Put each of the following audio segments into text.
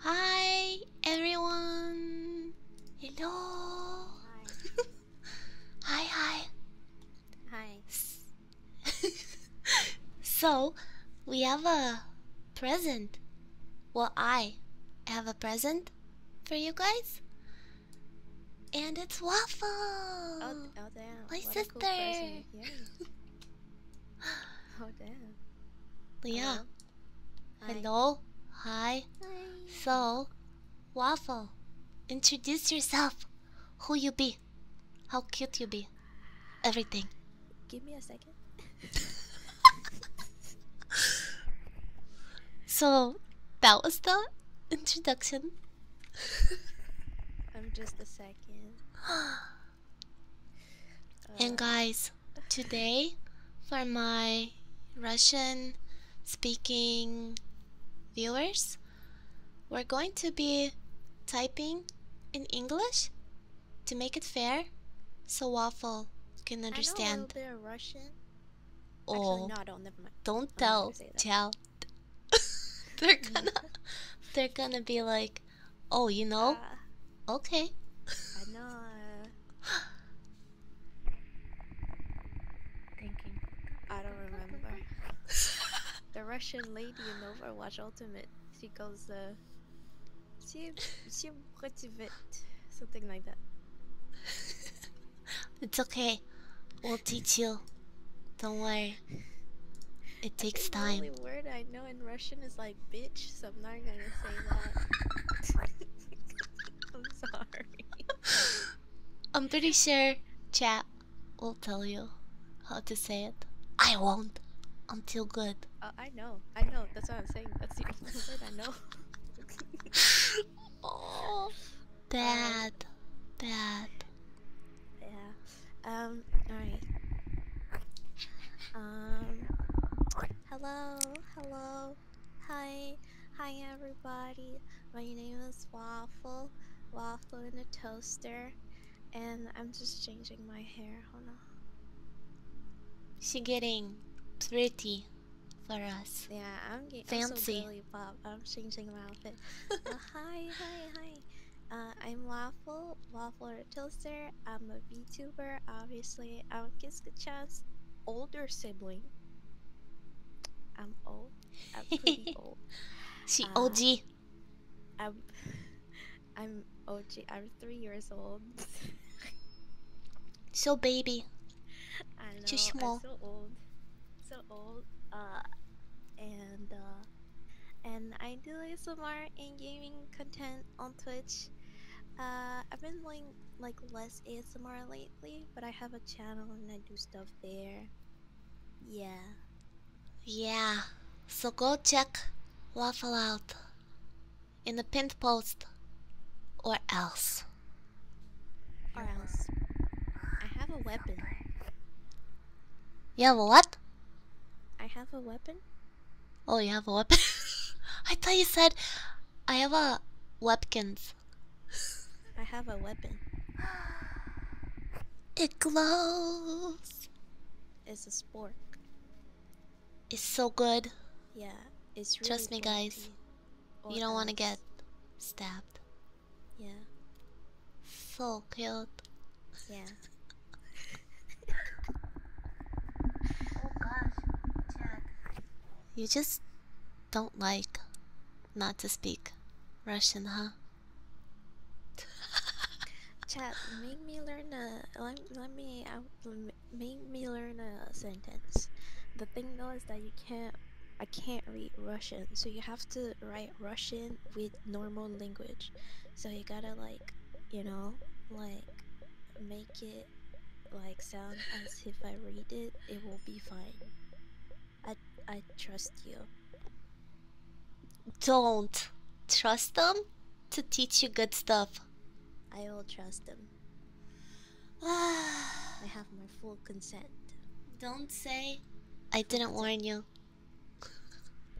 Hi everyone. Hello. Hi, hi. Hi. so, we have a present. Well, I have a present for you guys. And it's waffle. Oh, oh My sister. oh damn. Leah. Hello. Hi. So, Waffle, introduce yourself. Who you be? How cute you be? Everything. Give me a second. so, that was the introduction. I'm just a second. And guys, today for my Russian speaking viewers, we're going to be typing in English to make it fair so Waffle can understand. I know a little bit of Russian. Oh, no, don't, never mind. don't tell, tell. they're gonna, they're gonna be like, Oh, you know? okay. I know. Thinking. I don't remember. the Russian lady in Overwatch Ultimate. She calls the. Uh, she. She. Something like that. it's okay. We'll teach you. Don't worry. It takes time. The only word I know in Russian is like bitch, so I'm not gonna say that. I'm sorry. I'm pretty sure chat will tell you how to say it. I won't I'm too good. Oh, I know, I know. That's what I'm saying. That's the only word I know. Oh. bad, bad. Yeah. Um. All right. Um, hello, hello, hi, hi everybody. My name is Waffle, Waffle in a toaster, and I'm just changing my hair. Hold on. She getting pretty for us. Yeah, I'm getting fancy. Really pop. I'm changing my outfit. uh, hi, hi, hi. Uh, I'm Waffle, Waffle Florida Tilster. I'm a VTuber, obviously. I'm Kiskachas' older sibling. I'm old. I'm old. She uh, OG. I'm I'm OG. I'm three years old. so baby. Too small. so old. So old. Uh, and uh, and I do some art and gaming content on Twitch. Uh, I've been doing like less ASMR lately, but I have a channel and I do stuff there. Yeah. Yeah. So go check Waffle out in the pinned post, or else. Or else. I have a weapon. You have what? I have a weapon. Oh, you have a weapon? I thought you said I have a weapons. I have a weapon. It glows. It's a spork. It's so good. Yeah, it's really Trust me, guys. You don't want to get stabbed. Yeah. So cute. Yeah. Oh you just don't like not to speak Russian, huh? Chat, make me learn a let, let me make me learn a sentence. The thing though is that you can't I can't read Russian, so you have to write Russian with normal language. So you gotta like, you know, like make it like sound as if I read it, it will be fine. I I trust you. Don't trust them to teach you good stuff. I will trust them. I have my full consent. Don't say I didn't warn you.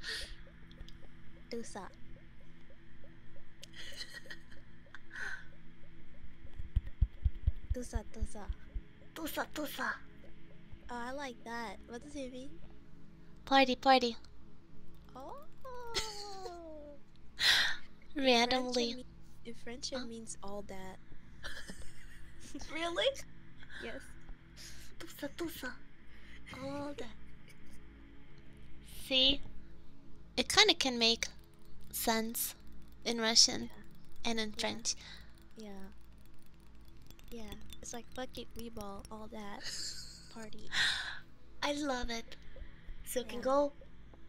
Do that. Tusa, tusa. Tusa, tusa. Oh, I like that. What does it mean? Party, party. Oh. Randomly. In French, it, mean, in French it huh? means all that. really? Yes. Tusa, tusa. All that. See? it kind of can make sense in Russian and in French. Yeah. Yeah. It's like we ball, all that party. I love it. So yeah. can go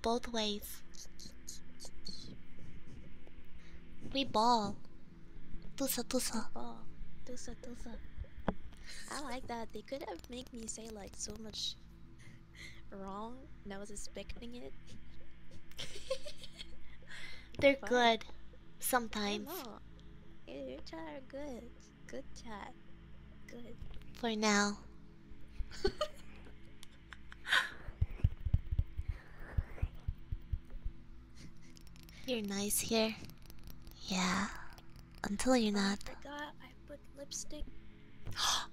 both ways. We ball. Tusa tusa. Ball. Tusa tusa. I like that. They could have made me say like so much wrong I was expecting it. They're good. Sometimes. You your chat are good. Good chat. Good. For now. you're nice here. Yeah. Until you're oh, not lipstick.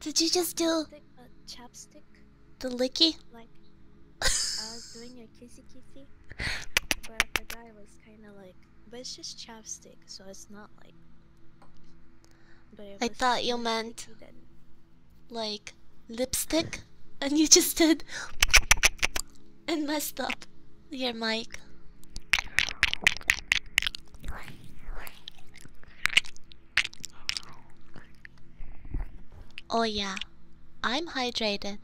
Did you just do lipstick, uh, chapstick? The licky? Like I was doing a kissy kissy, but the guy was kind of like, but it's just chapstick, so it's not like. But I thought you meant like lipstick, and you just did and messed up your mic. Oh yeah, I'm hydrated.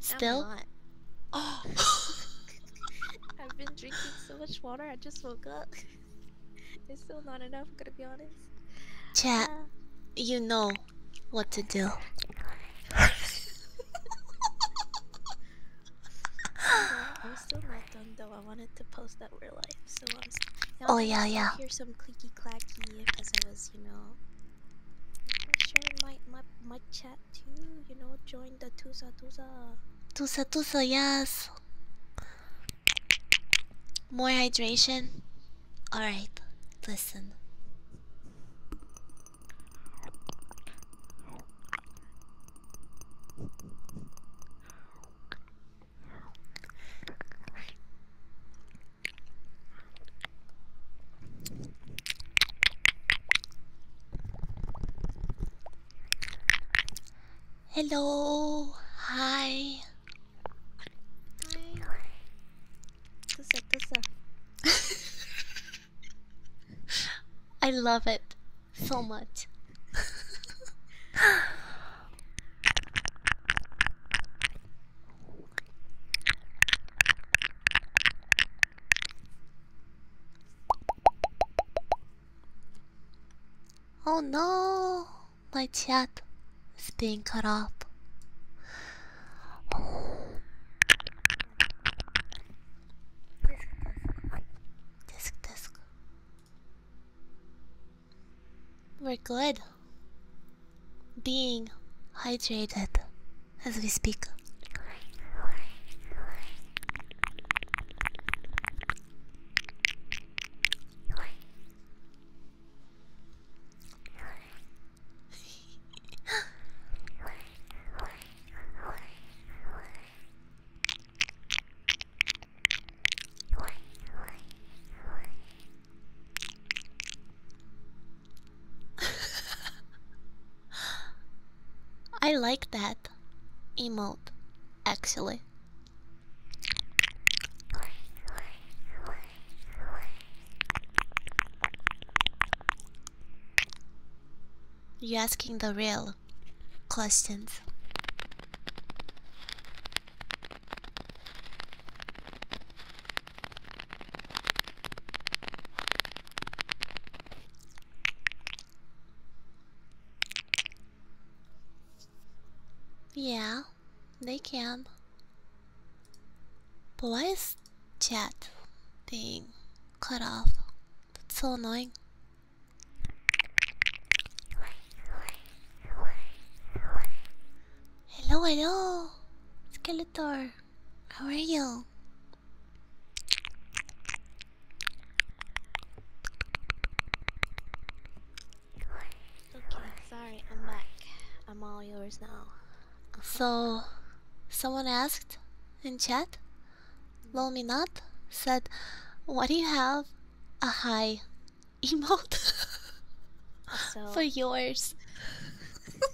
Still. i oh. I've been drinking so much water. I just woke up. it's still not enough. I'm gonna be honest. Chad, uh. you know what to do. I wanted to post that we're so I'm. Now oh yeah, yeah. Hear some clicky clacky as I was, you know. Sharing my my my chat too. You know, join the tusa tusa. Tusa tusa, yes. More hydration. All right, listen. Hello, hi. I love it so much. oh no, my chat is being cut off. Disc, disc. We're good. Being hydrated as we speak. I like that emote, actually. You asking the real questions. Yeah, they can. Boys, chat being cut off? That's so annoying. Hello, hello, Skeletor. How are you? Okay, sorry, I'm back. I'm all yours now. So, someone asked in chat Lomin up said, "What do you have? A high emote for yours."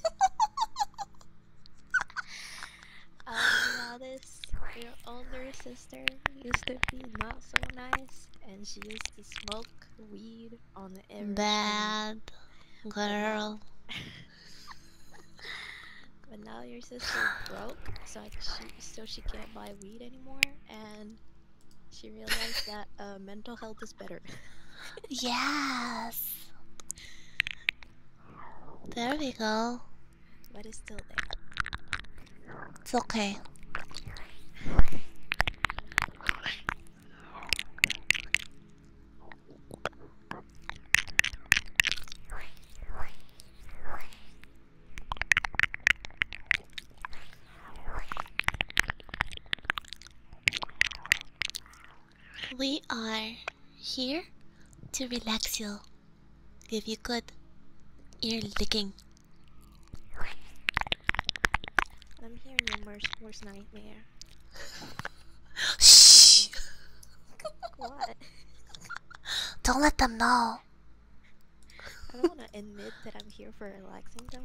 um, now this, your older sister used to be not so nice, and she used to smoke weed on every. Bad girl. But now your sister broke, so she so she can't buy weed anymore, and she realized that uh, mental health is better. yes. There we go. But it's still there. It's okay. We are here to relax you, give you good ear licking. I'm hearing your worst, worst nightmare. Shh! what? Don't let them know. I don't want to admit that I'm here for relaxing time.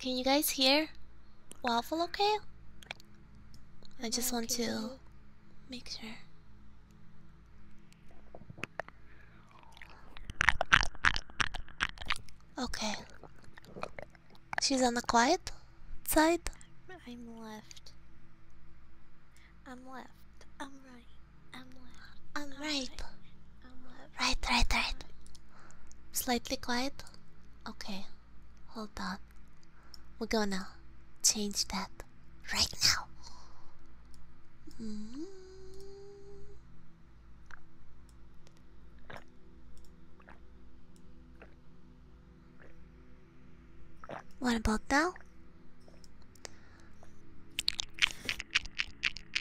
Can you guys hear Waffle okay? I just want to make sure. Okay. She's on the quiet side? I'm left. I'm left. I'm right. I'm left. I'm, right. Right, right, right. Slightly quiet? Okay. Hold on. We're gonna change that right now. What about now?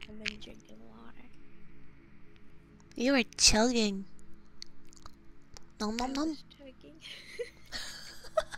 I've been drinking water. You were chugging. Nom nom nom.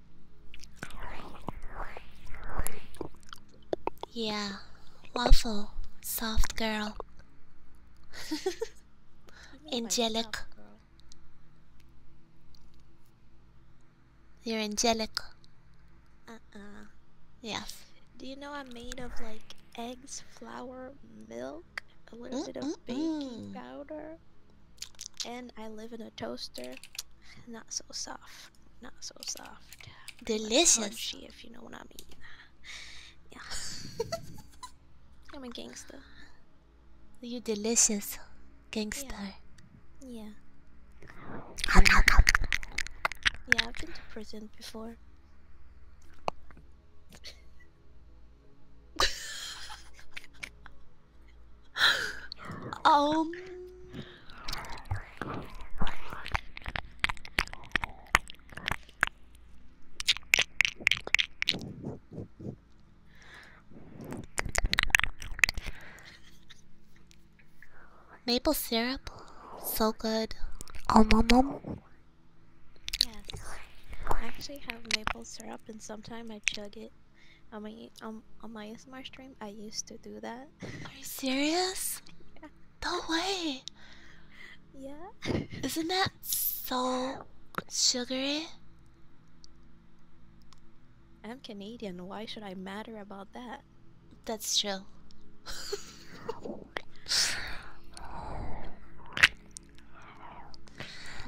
Yeah, waffle, soft girl, angelic. You're angelic. Uh uh. Yes. Do you know I'm made of like eggs, flour, milk, a little bit of baking powder, and I live in a toaster. Not so soft. Not so soft. Delicious. if you know what I mean. Yeah. I'm a gangster. You delicious gangster. Yeah. yeah. Yeah, I've been to prison before. um. Maple syrup, so good. Um, Yes, I actually have maple syrup, and sometimes I chug it. On my um on my stream, I used to do that. Are you serious? Yeah. No way. Yeah. Isn't that so sugary? I'm Canadian. Why should I matter about that? That's true.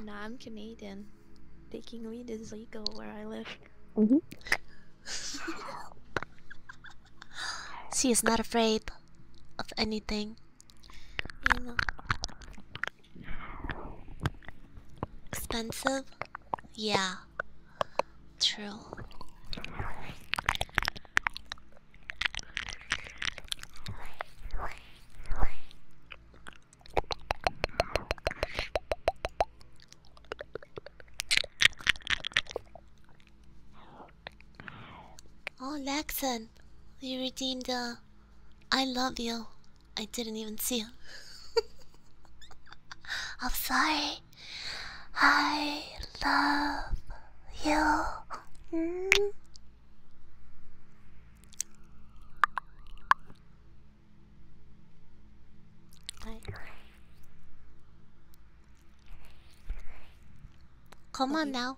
nah, I'm Canadian. Taking weed is legal where I live. Mm-hmm. she is not afraid of anything. Expensive? Yeah. True. Oh, Nexon, you redeemed uh, I love you. I didn't even see you. I'm sorry. I love you. Mm. Come on now.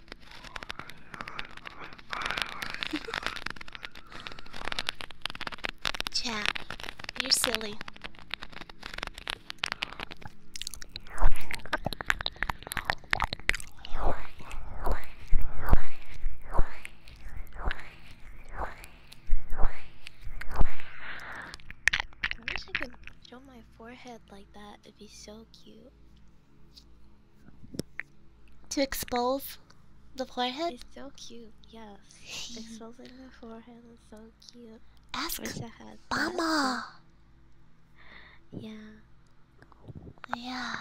Chad, you're silly. I wish I could show my forehead like that. It'd be so cute. To expose the forehead? It's so cute, yes. Exposing the forehead is so cute. Ask Mama! Yeah. Yeah.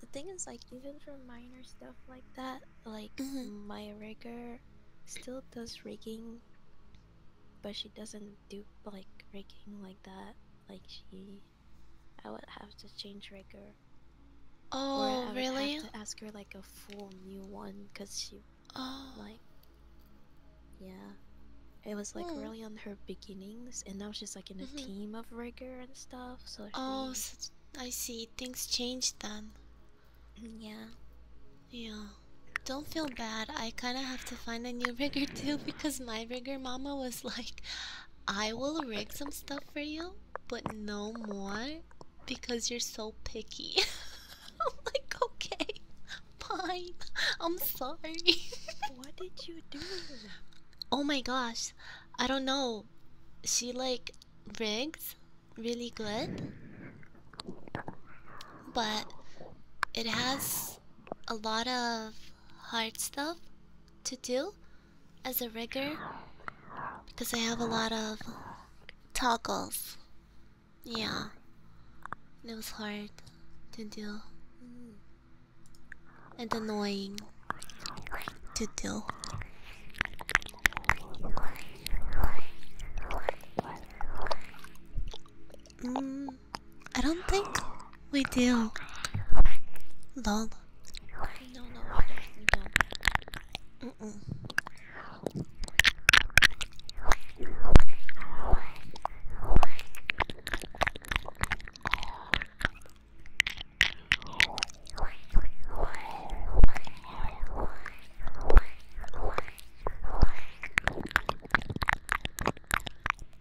The thing is, like, even for minor stuff like that, like, mm my rigger still does rigging, but she doesn't do, like, rigging like that. Like, she I would have to change Rigger. Oh, or I would Have to ask her like a full new one because she, oh. like, yeah, it was like hmm. really on her beginnings, and now she's like in a mm-hmm. team of Rigger and stuff. So oh, I see. Things changed then. Mm, yeah. Yeah. Don't feel bad. I kind of have to find a new rigger too because my rigger mama was like, I will rig some stuff for you, but no more because you're so picky. I'm like, okay, fine. I'm sorry. what did you do? Oh my gosh, I don't know. She like rigs really good, but it has a lot of hard stuff to do as a rigger because I have a lot of toggles. Yeah, it was hard to do and annoying to do. Mm. I don't think we do. Lol. Oh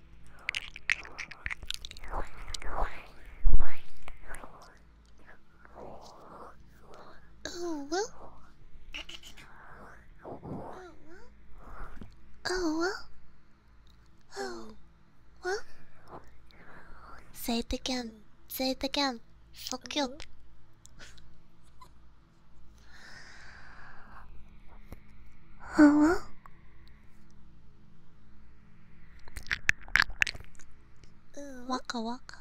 well. Oh well. Oh well. Say it again. Say it again. So cute. Oh well. うん、わかわか。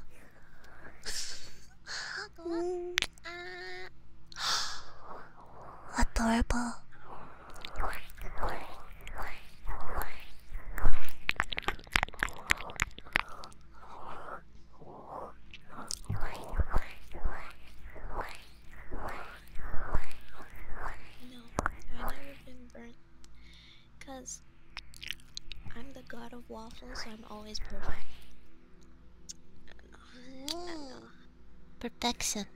うん、No, I've never been burnt. Cause I'm the god of waffles, so I'm always perfect. I Perfection.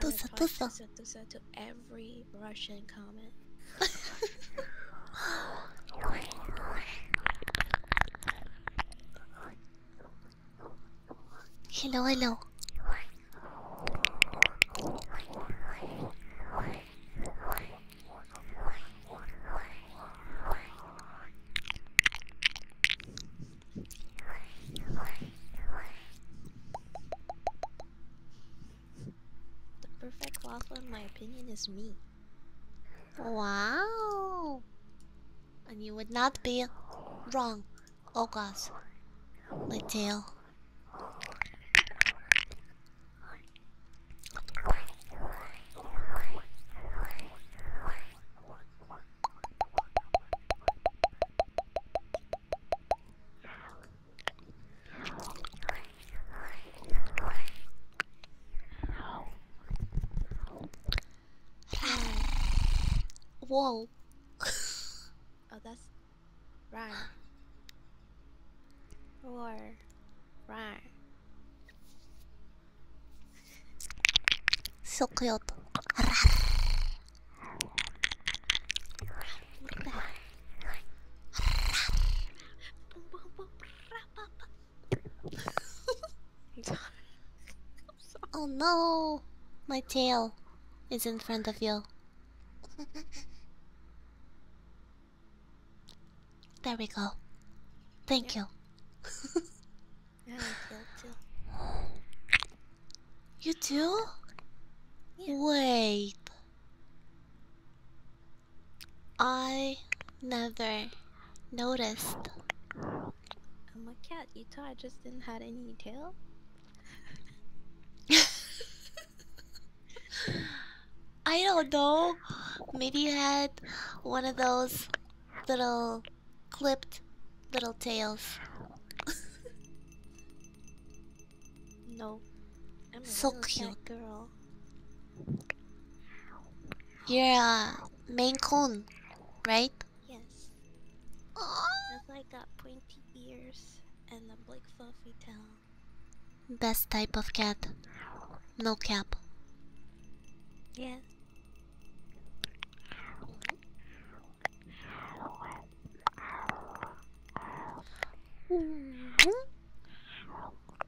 Tusa, tusa. Tusa, tusa to every Russian comment. Hello, hello. The perfect last in my opinion, is me. Wow. And you would not be wrong. August. gosh. My tail. Whoa. oh, that's right. Roar. Right. So cute. oh no, my tail is in front of you. There we go. Thank yeah. you. yeah, too. You too? Wait. I never noticed. I'm a cat, you thought I just didn't have any tail? I don't know. Maybe you had one of those little clipped little tails. no. I'm so cute girl. You're a Maine coon, right? Yes. Oh. That's why got pointy ears and a big fluffy tail. Best type of cat. No cap. Yes. Mm-hmm.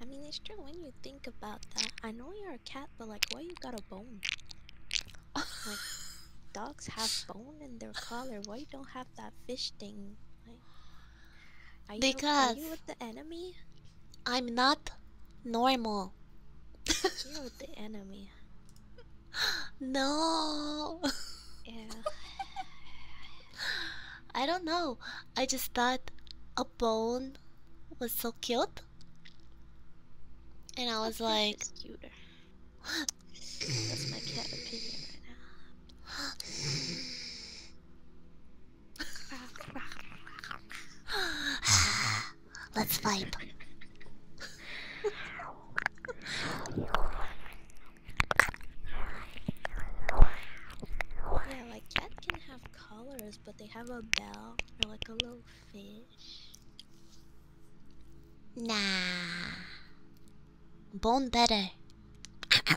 I mean, it's true when you think about that. I know you're a cat, but like, why you got a bone? like, dogs have bone in their collar. Why you don't have that fish thing? Like, because are you with the enemy? I'm not normal. You're with the enemy. no. I don't know. I just thought a bone was so cute. And I was like That's my cat Let's vibe. Yeah, like cats can have colors, but they have a bell or like a little fish. Nah. Bone better.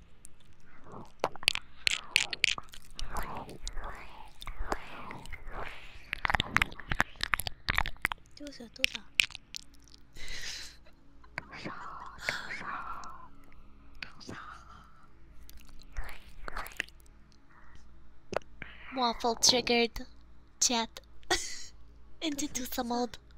Waffle triggered chat and into some old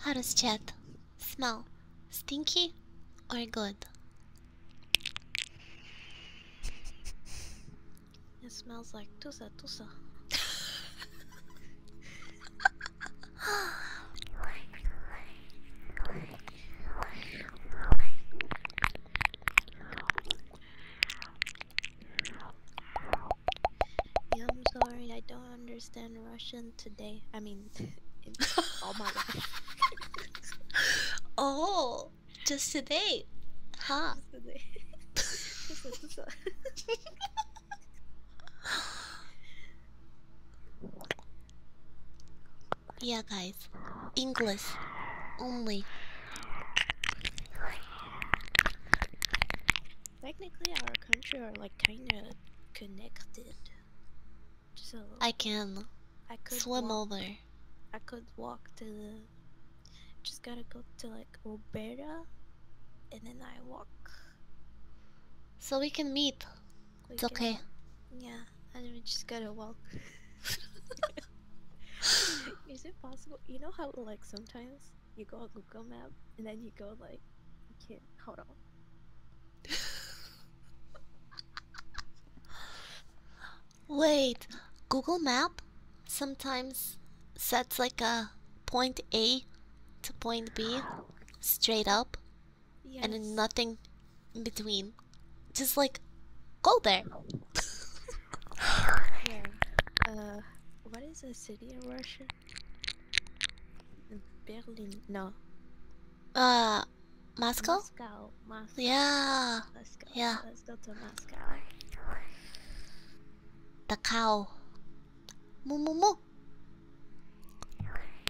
How does chat smell? Stinky or good? It smells like tusa tusa. I'm sorry, I don't understand Russian today. I mean, all my life. oh, just today, huh? yeah, guys, English only. Technically, our country are like kinda connected. So I can I could swim walk, over. I could walk to the. Just gotta go to like Obera, and then I walk. So we can meet. It's okay. Yeah, I just gotta walk. Is it possible? You know how like sometimes you go on Google Map and then you go like, okay, hold on. Wait, Google Map sometimes sets like a point A to point B straight up and nothing in between. Just like go there. Uh, what is a city in Russia? Berlin no. Uh Moscow? Moscow. Yeah. Let's go. Yeah. Let's go to Moscow. The cow. Moo moo moo.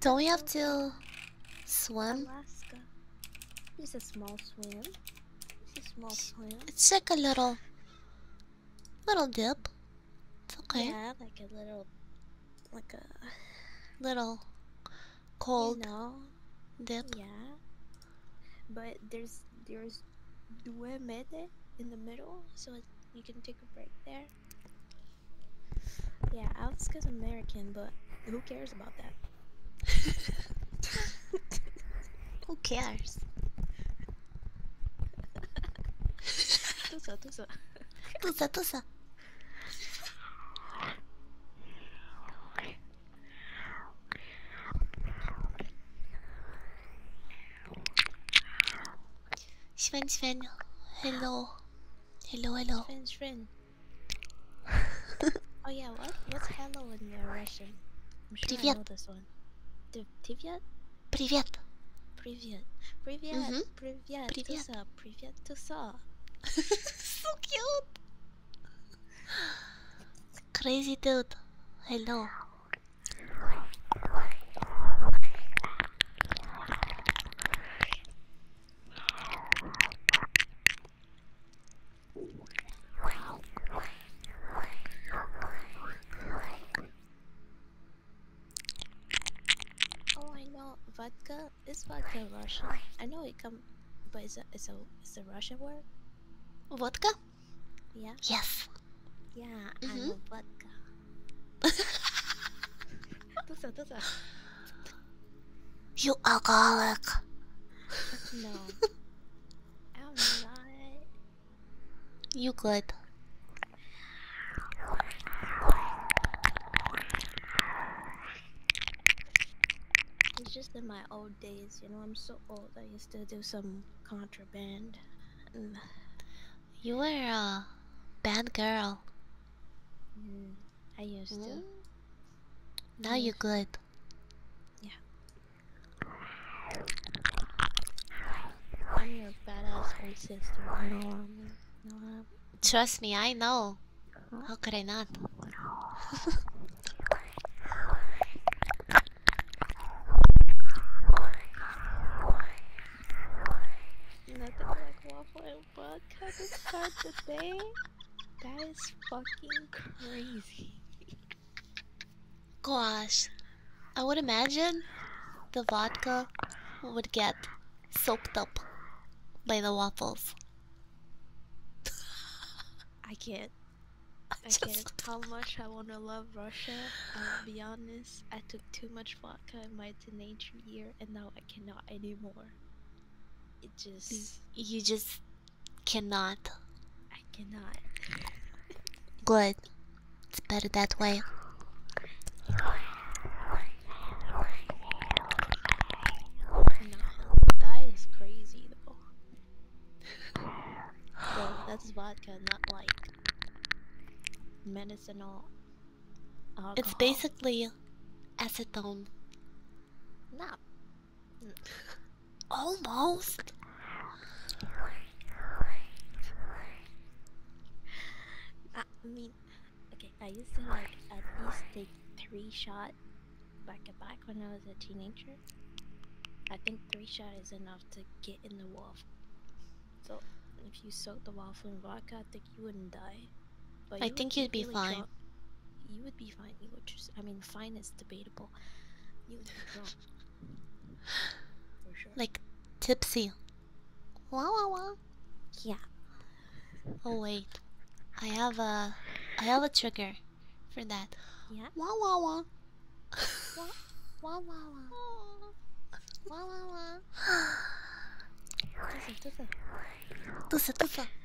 Don't we have to swim? It's a small swim. It's a small swim. It's like a little, little dip. It's okay. Yeah, like a little, like a little cold you dip. Yeah. But there's there's due mede in the middle, so it, you can take a break there. Yeah, Alex is American, but who cares about that? who cares? Tusa, tusa. Tusa, tusa. Sven, Sven, hello, hello, hello. Sven, Sven oh yeah, what? What's hello in Russian? I'm sure Привет. I know this one. Привет? Привет. Привет. Привет. Mm -hmm. Привет. Привет. Tusa. Привет. Tusa. so cute. Crazy dude. Hello. Oh, I know vodka is vodka Russian. I know it comes, but it's a it's a it's Russian word. Vodka? Yeah. Yes. Yeah, -hmm. vodka. You alcoholic. No. I'm not. You good. It's just in my old days, you know, I'm so old. I used to do some contraband. you were a bad girl. Mm. I used to. Mm. Now you're good. Yeah. I'm your badass old sister. Trust me, I know. How could I not? Nothing like waffle book how to start the day? That is fucking crazy. Gosh, I would imagine the vodka would get soaked up by the waffles. I can't. I can't how much I want to love Russia. I'll be honest, I took too much vodka in my teenage year and now I cannot anymore just you just cannot. I cannot. Good. It's better that way. that is crazy though. well, that's vodka, not like medicinal. Alcohol. It's basically acetone. Not almost. I mean, okay. I used to like at least take three shot like a back when I was a teenager. I think three shot is enough to get in the waffle. So if you soak the waffle in vodka, I think you wouldn't die. I think you'd be, fine. You would be fine. You would I mean, fine is debatable. You would be drunk. For sure. Like tipsy. Wah wah wah. Yeah. Oh wait, I have a, I have a trigger, for that. Yeah. Wah wah wah. wah wah wah. wah. Wah wah wah. 嘚瑟嘚瑟，嘚瑟嘚瑟。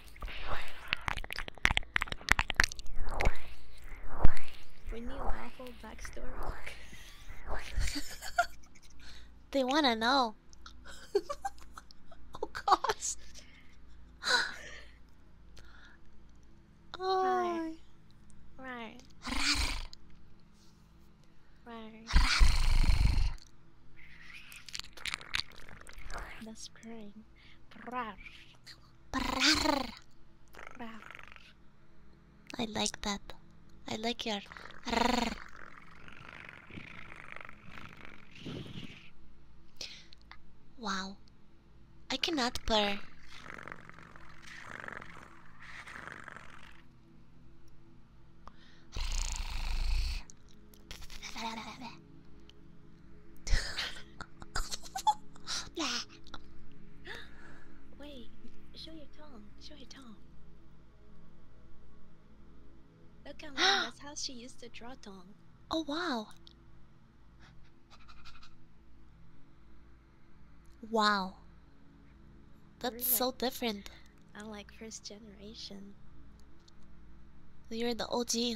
When you awful backstory. they wanna know. oh gosh. Right. Right. Right. That's great. Brar. I like that. I like your. Rrr. Wait, show your tongue. Show your tongue. Look at mom, that's how she used to draw tongue. Oh wow. Wow. That's so different. I'm like first generation. You're the OG.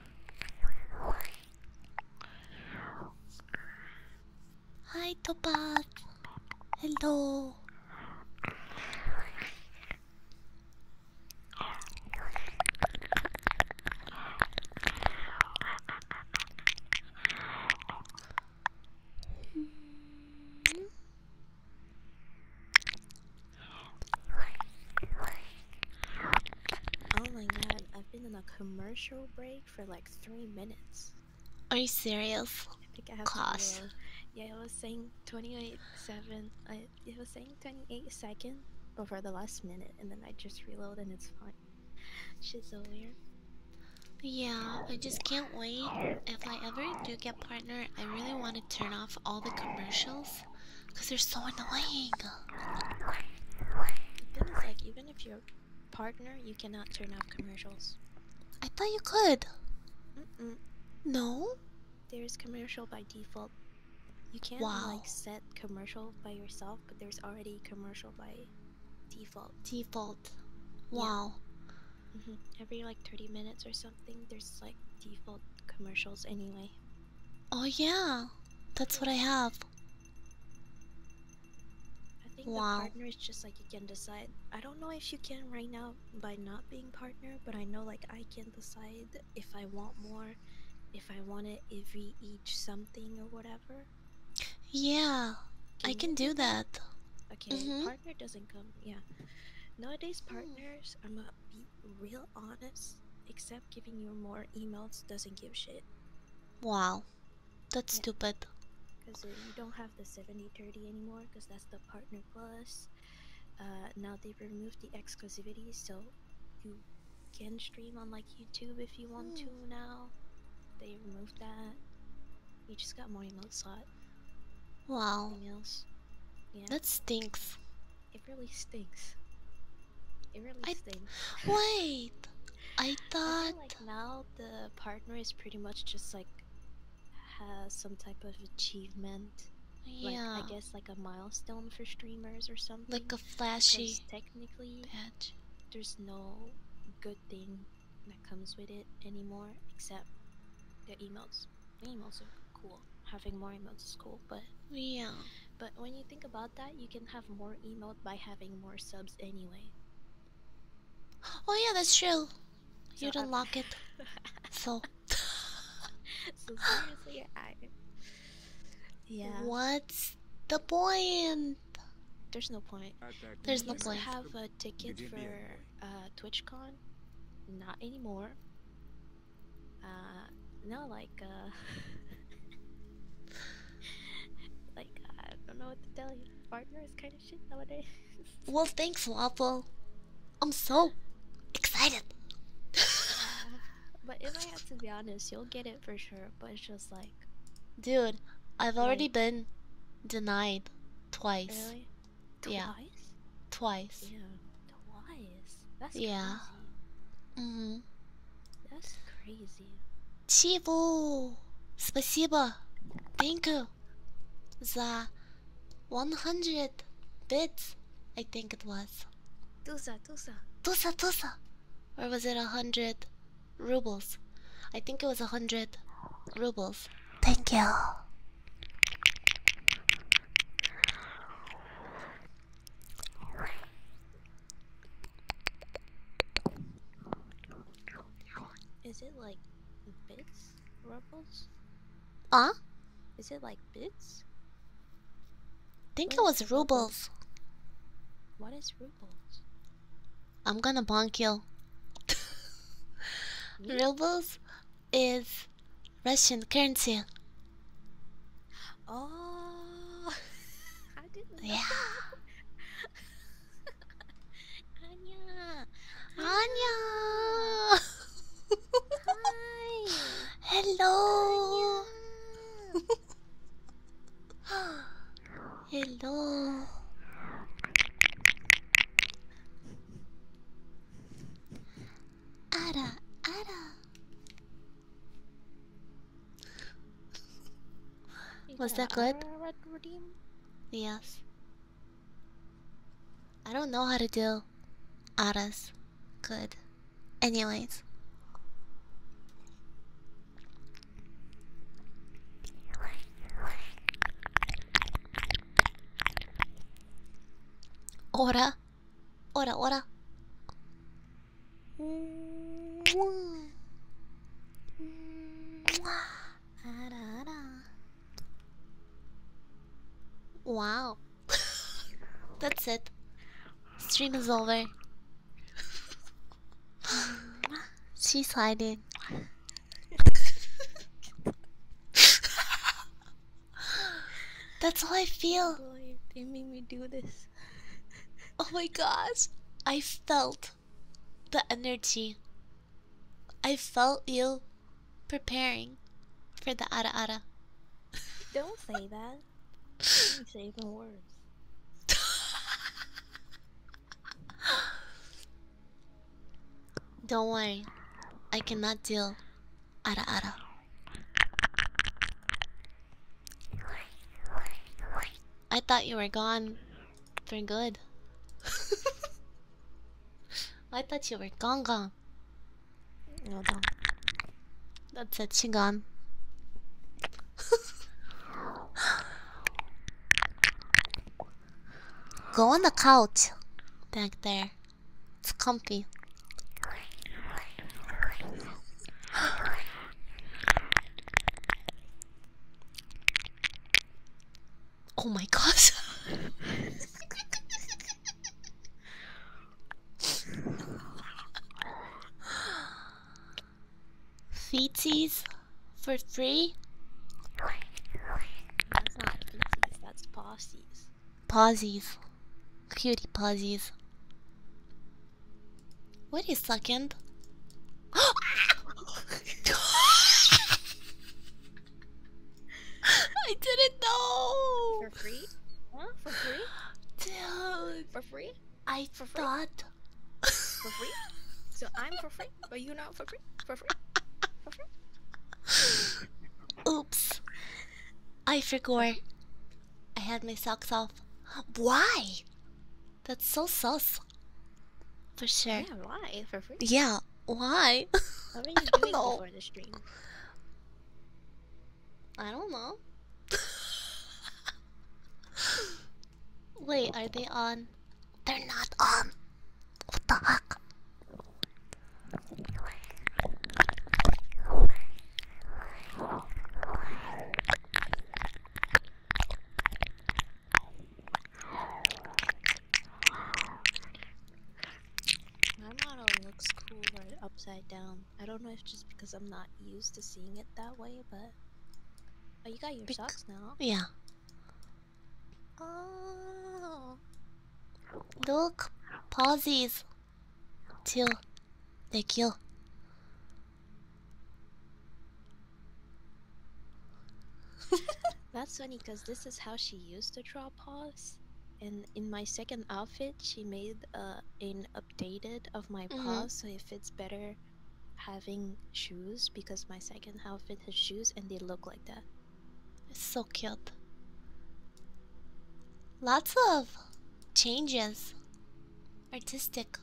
Hi, Tobat. Hello. Oh my god, I've been on a commercial break for like three minutes. Are you serious? I think I have Class. Yeah, it was saying 28 7. I, it was saying twenty eight seconds over the last minute, and then I just reload and it's fine. She's so weird. Yeah, I just can't wait. If I ever do get partner, I really want to turn off all the commercials because they're so annoying. The thing is, like, even if you're partner, you cannot turn off commercials. I thought you could. No. There's commercial by default. You can't like set commercial by yourself, but there's already commercial by default. Default. Wow. Mm-hmm. Every like 30 minutes or something, there's like default commercials anyway. Oh yeah, that's what I have. I think wow. partner is just like you can decide. I don't know if you can right now by not being partner, but I know like I can decide if I want more, if I want it if we each something or whatever. Yeah, I can do that. Okay, mm-hmm. partner doesn't come. Yeah, nowadays mm. partners. are real honest, except giving you more emails doesn't give shit. Wow, that's stupid. Because uh, you don't have the 70-30 anymore, because that's the partner plus. Uh, now they removed the exclusivity, so you can stream on like YouTube if you want to hmm. now. They removed that. You just got more emote slot. Wow. Else. That stinks. It really stinks. It really stinks. Wait, I thought. now the partner is pretty much just like has some type of achievement. Yeah. I guess like a milestone for streamers or something. Like a flashy. Technically, badge. there's no good thing that comes with it anymore except the emails. Emails are cool. Having more emails is cool, but yeah. But when you think about that, you can have more emote by having more subs anyway. Oh yeah, that's true. So You'd unlock it. so. seriously, I. Yeah. What's the point? There's no point. There's no point. I have a ticket for uh, TwitchCon. Not anymore. Uh, no, like, uh, like uh, I don't know what to tell you. Partner is kind of shit nowadays. well, thanks, waffle. I'm so excited. but if I have to be honest, you'll get it for sure. But it's just like, dude, I've already been denied twice. Really? Twice? Twice. Yeah, twice. That's yeah. Mm-hmm. That's crazy. Chivo, спасибо. Thank you. The 100 bits, I think it was. Tusa, tusa. Tusa, tusa. Or was it a 100 rubles? I think it was a 100 rubles. Thank you. Is it like bits, rubles? Ah, Is it like bits? think it was rubles. What is rubles? I'm gonna bonk you. rubles is Russian currency. Oh, I didn't. Know. Yeah. Anya. Anya. Hi. Hello. Hello. Ada, Ada. Was that good? Yes. I don't know how to do aras good. Anyways. Ora. Ora, ora. Wow. That's it. Stream is over. She's hiding. That's all I feel. Lord, they made me do this. Oh my gosh, I felt the energy. I felt you preparing for the ara ara. Don't say that. Don't say even worse. Don't worry, I cannot deal ara ara. I thought you were gone for good. I thought you were gone gone. Hold That's a she gone. Go on the couch back there. It's comfy. Oh my gosh. Feeties for free? That's not feeties, that's posies. Posies. Cutie posies. Wait a second. I didn't know. For free? Huh? For free? Dude. For free? I for thought. For free? So I'm for free, but you not for free? For free? For free? Oops. I forgot. I had my socks off. Why? That's so sus. For sure. Yeah, why? For free? Yeah, why? What were you doing know. the stream? I don't know. Wait, are they on? They're not on. What the heck? My model looks cool upside down. I don't know if just because I'm not used to seeing it that way, but oh, you got your socks now. Yeah. Oh, look, pauses. Till, they kill. That's funny because this is how she used to draw paws. And in my second outfit, she made uh, an updated of my mm-hmm. paws so it fits better having shoes because my second outfit has shoes and they look like that. It's so cute. Lots of changes. Artistic.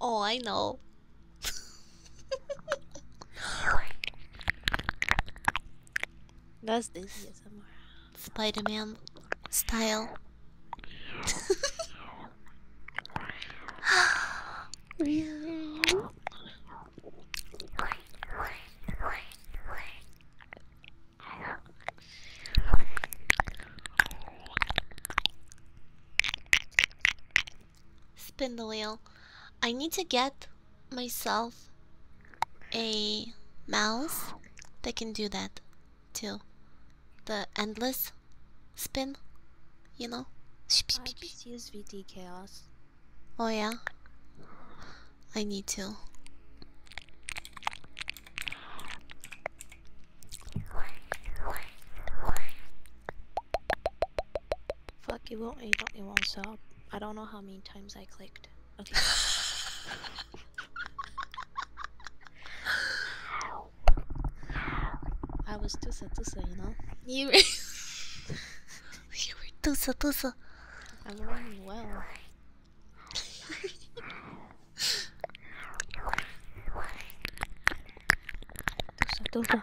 Oh, I know. That's this ASMR. Spider-Man style. Spin the wheel. I need to get myself a mouse that can do that too. The endless spin, you know? use VD Chaos. Oh, yeah? I need to. Fuck, it won't, it won't, it stop. I don't know how many times I clicked. Okay. I was too sad to say. you know? You were... you were tusa tusa. I'm running well. tusa tusa.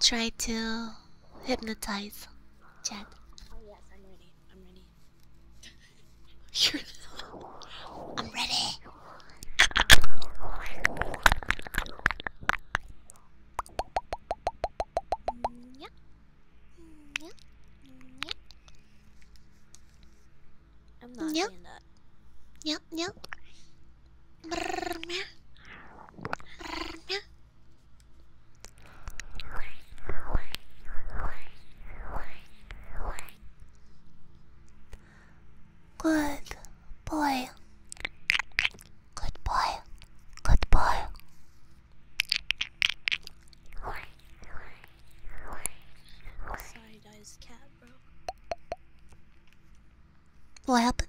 try to hypnotize Chat. Oh yes, I'm ready. I'm ready. You're I'm ready. yeah. Yeah. Yeah. yep. Yep, yep. Good boy. Good boy. Good boy. Sorry, guys, cat, bro. What happened?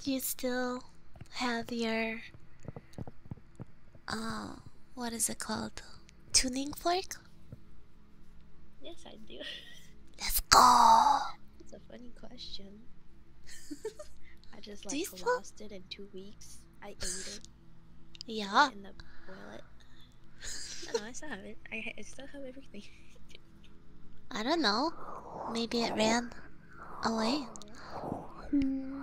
Do you still have your uh what is it called? Tuning fork? Yes I do. Let's go. It's a funny question. I just like lost it in two weeks. I ate it. Yeah no, I still have it. I, still have everything. I don't know. Maybe it ran away. Oh,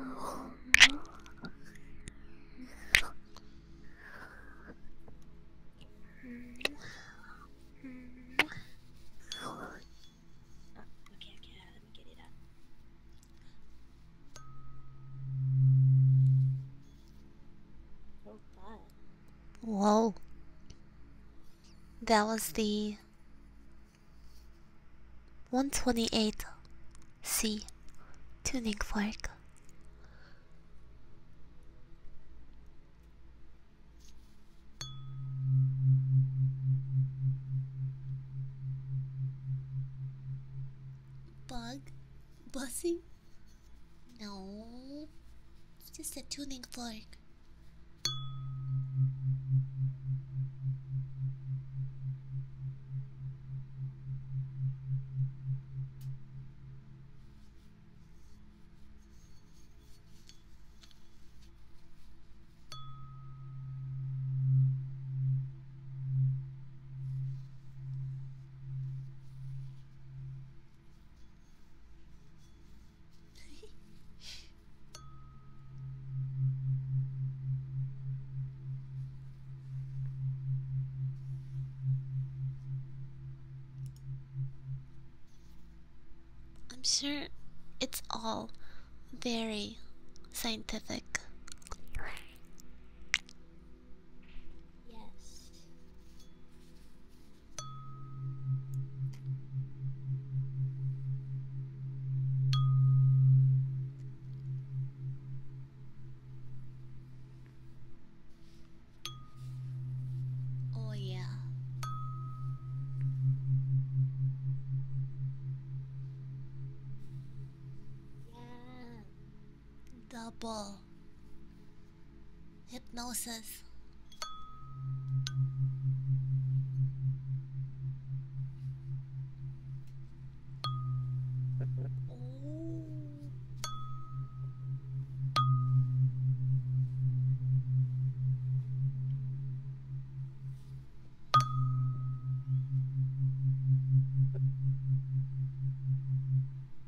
God. Whoa. That was the 128C tuning fork. Bug? Bussy? No, it's just a tuning fork. I'm sure it's all very scientific. Yes. Oh, yeah. Yeah. Double. Hypnosis. Oh.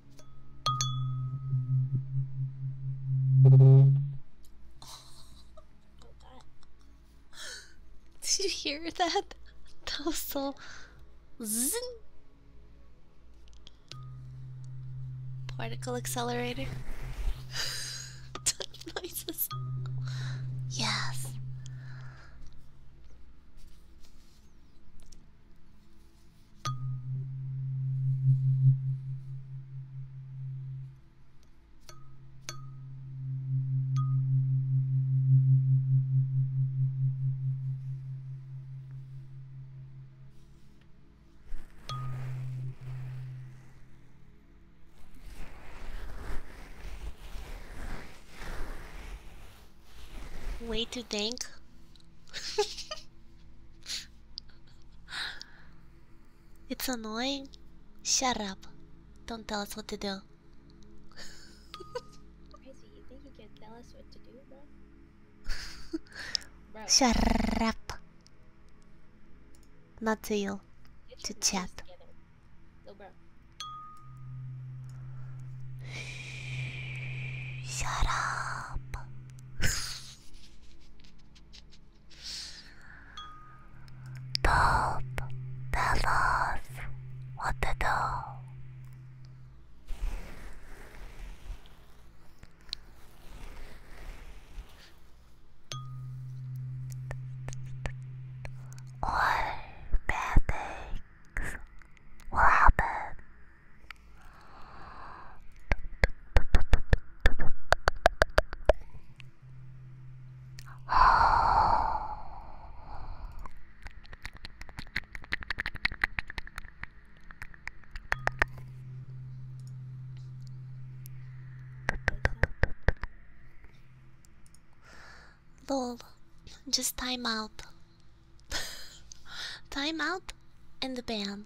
Did you hear that? That was Particle accelerator. Yes. Way to thank It's annoying. Shut up. Don't tell us what to do. Shut up. Not to you. to chat. Shut up. Bob, that was what the doll. Or bad things will happen Lol, just time out. time out and the ban.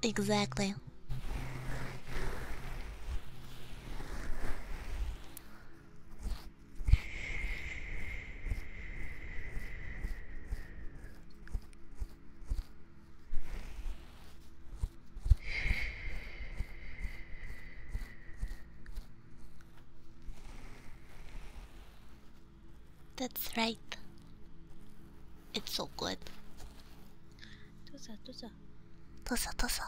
Exactly. That's right. It's so good. どうぞどうぞどうぞどうぞ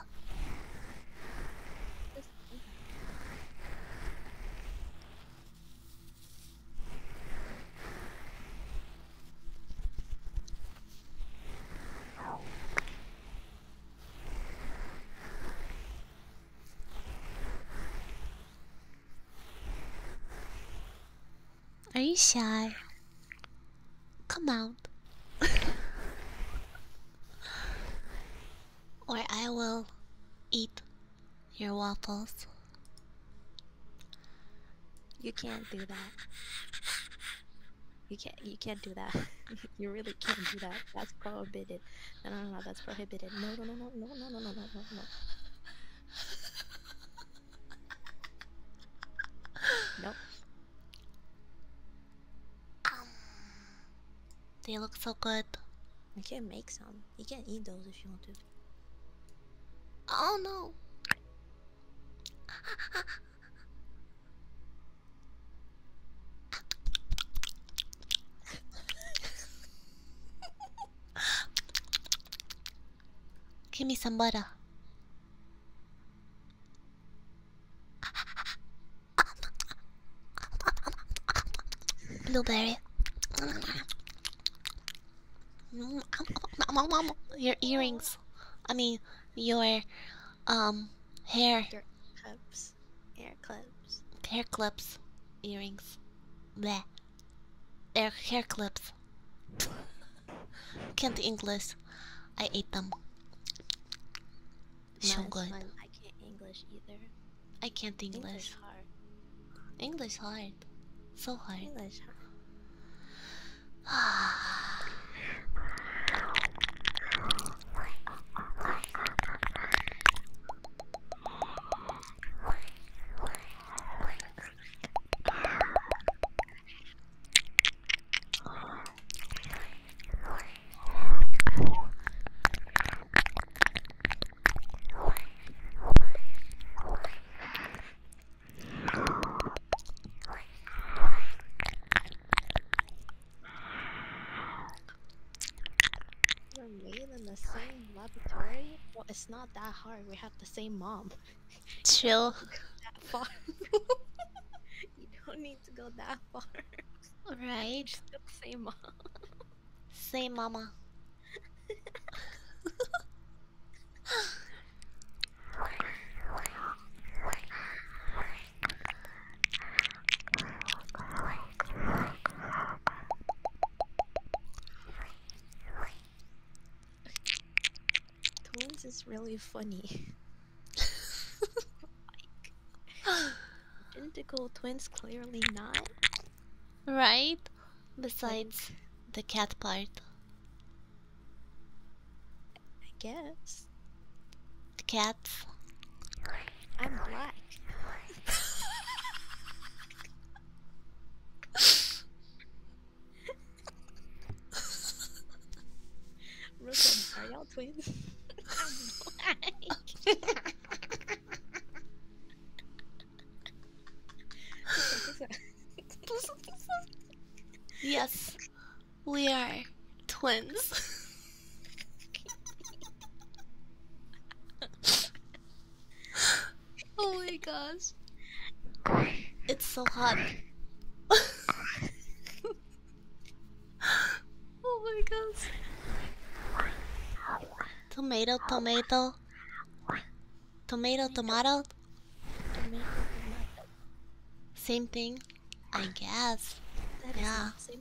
Are you shy? Come on. child. or I will eat your waffles. You can't do that. You can't you can't do that. you really can't do that. That's prohibited. No no no that's prohibited. No no no no no no no no no no Nope. Um, they look so good. You can make some. You can eat those if you want to. Oh no. Give me some butter. Blueberry. your earrings. I mean, your um hair. Your clips. Hair clips. Hair clips. Earrings. Bleh. Hair, hair clips. Can't English. I ate them. So good. I can't English either. I can't English. English hard. English hard. So hard. English hard. You're made in the same laboratory? Well, it's not that hard. We have the same mom. Chill. you don't need to go that far. Alright. Just say mom. Say mama. Tones is really funny. like, identical twins, clearly not. Right? Besides the cat part. I guess. The cats. I'm black. twins. yes, we are twins. oh my gosh. It's so hot. oh my gosh. Tomato, tomato. Tomato, tomato. Same thing, I guess. yeah.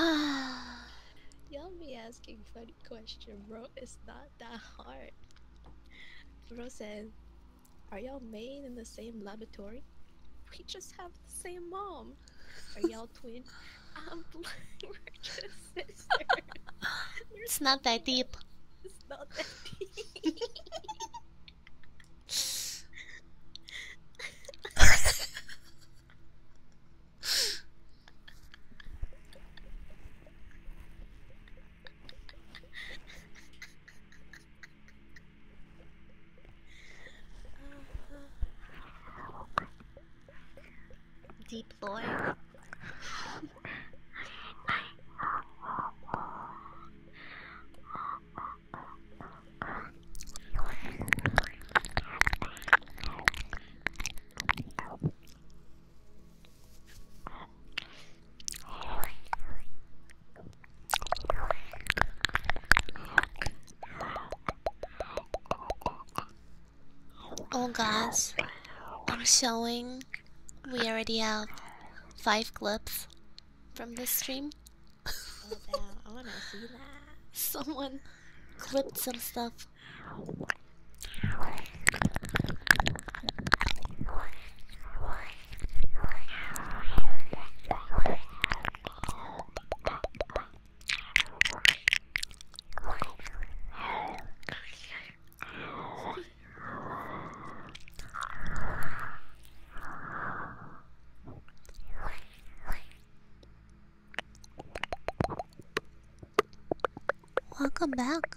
Ah, Y'all be asking funny questions, bro. It's not that hard. Bro said, "Are y'all made in the same laboratory? We just have the same mom." Are y'all twin? It's not that deep. It's not that deep. Deep lore. Oh guys, I'm showing we already have five clips from this stream. Someone clipped some stuff. Welcome back.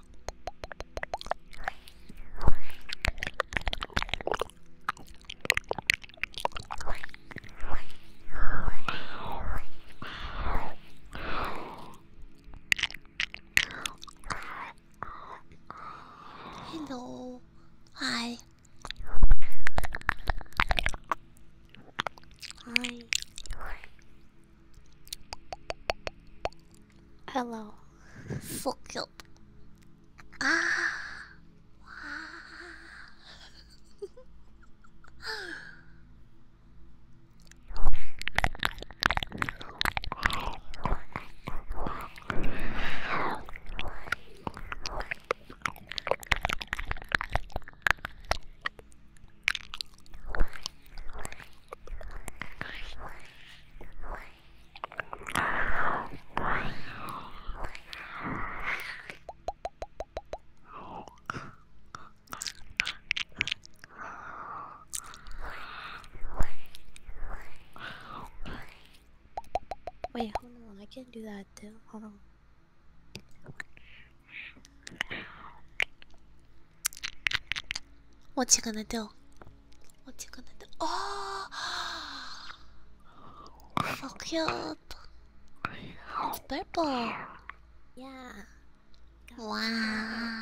Hello. Hi. Hi. Hello. Fuck you. Ah. Wait, hold on, I can do that too. Hold on. What you gonna do? What you gonna do? Oh! So cute! It's purple! Yeah. Wow!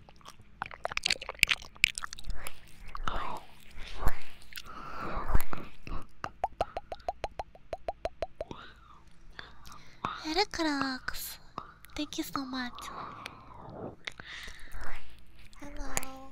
Heracrox, thank you so much. Hello.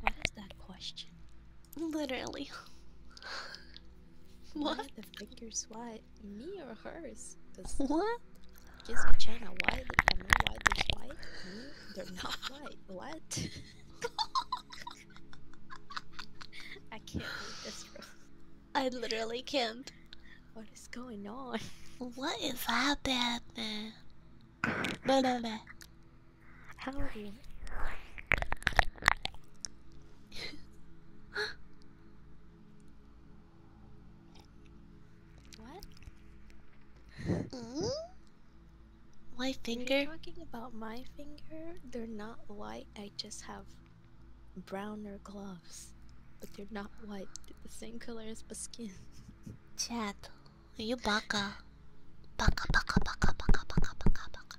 What is that question? Literally. what? Why the fingers White, Me or hers? Cause what? Guess what China white? Am I white is white? They're not white. What? I can't read this room. I literally can't. What is going on? What is no. How are you? what? Mm? My finger? Are you talking about my finger? They're not white, I just have browner gloves. But they're not white, they're the same color as my skin. Chat, are you baka? Baka, baka, baka, baka, baka, baka, baka.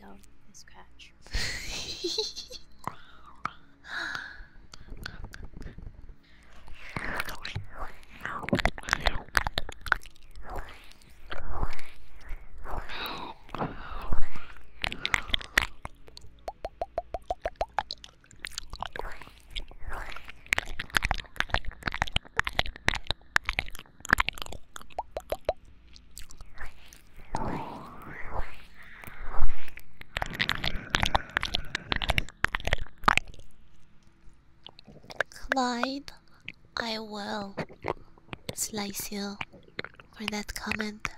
down this scratch. Clyde, I will slice you for that comment.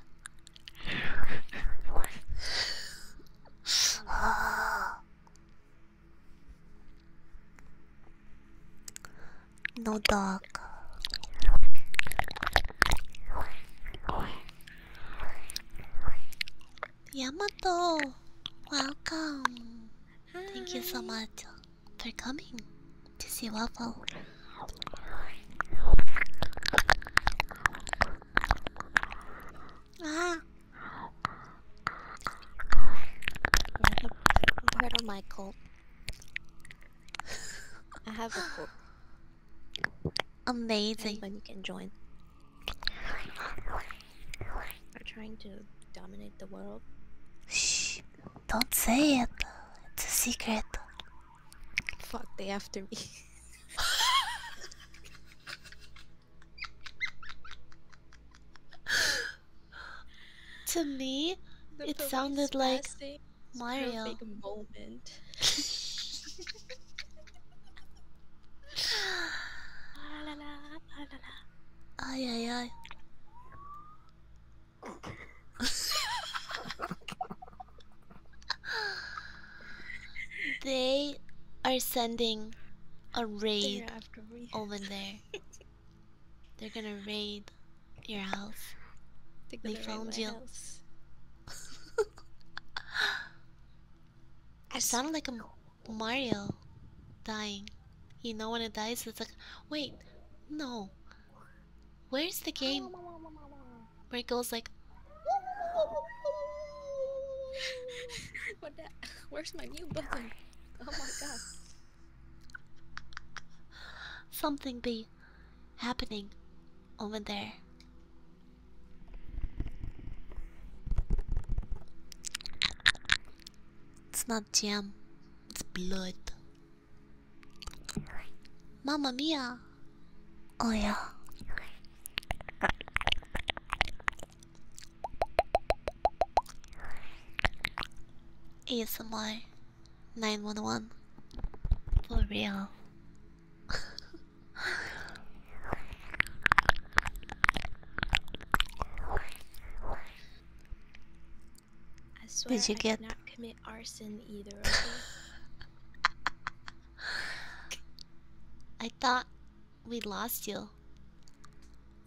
No dog. Yamato, welcome. Thank you so much for coming to see Waffle. Ah. Heard Michael. I have a pool. Amazing. When you can join. We're trying to dominate the world. Shh! Don't say it. It's a secret. Fuck! They after me. to me, it sounded like Mario. Moment. la, la, la, ay ay ay. they are sending a raid over there. They're gonna raid your house. They're they found you. House. I sounded like a Mario dying. You know when it dies, it's like, wait, no. Where's the game where it goes like? Where's my new button? Oh my god something be happening over there. It's not jam, it's blood. Mama mia! Oh, yeah. ASMR 911. For real. I Did you get not commit arson either I thought we lost you.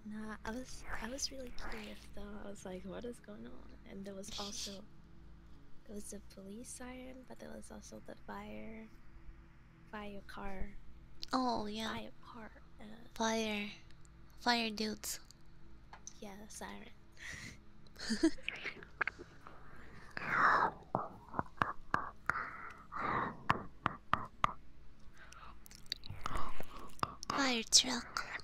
Nah, I was I was really curious I was like, what is going on? and there was also there was the police siren, but there was also the fire, fire car. Oh yeah, fire car. Uh, fire, fire dudes. Yeah, siren. Fire truck.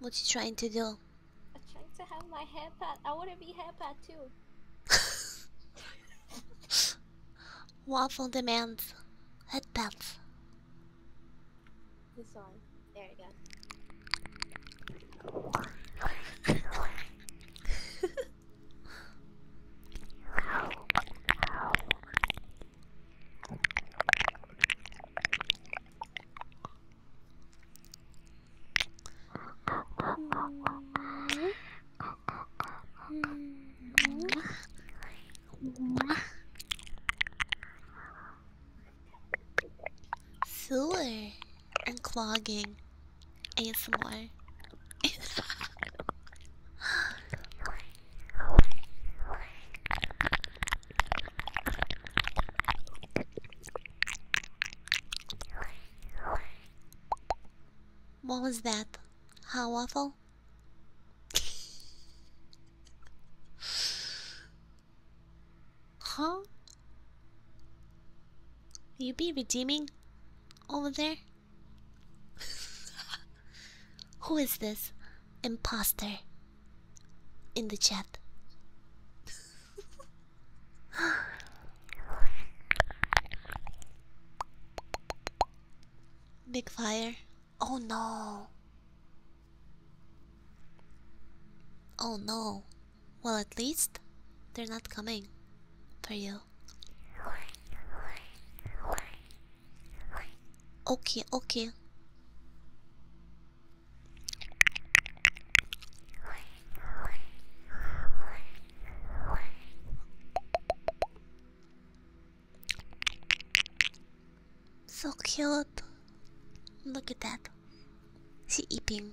What you trying to do? I'm trying to have my hair pat. I want to be hair pat too. Waffle demands head pats. This one. There you go. Sewer and clogging ASMR. What was that? How awful? huh? You be redeeming over there? Who is this impostor in the chat? Big fire. Oh no. Oh no. Well, at least they're not coming for you. Okay, okay. So cute. Look at that. She eating.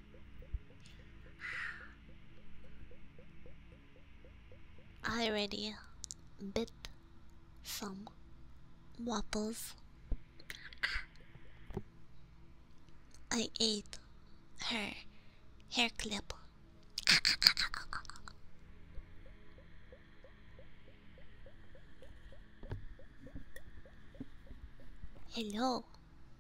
I already bit some waffles. I ate her hair clip. Hello,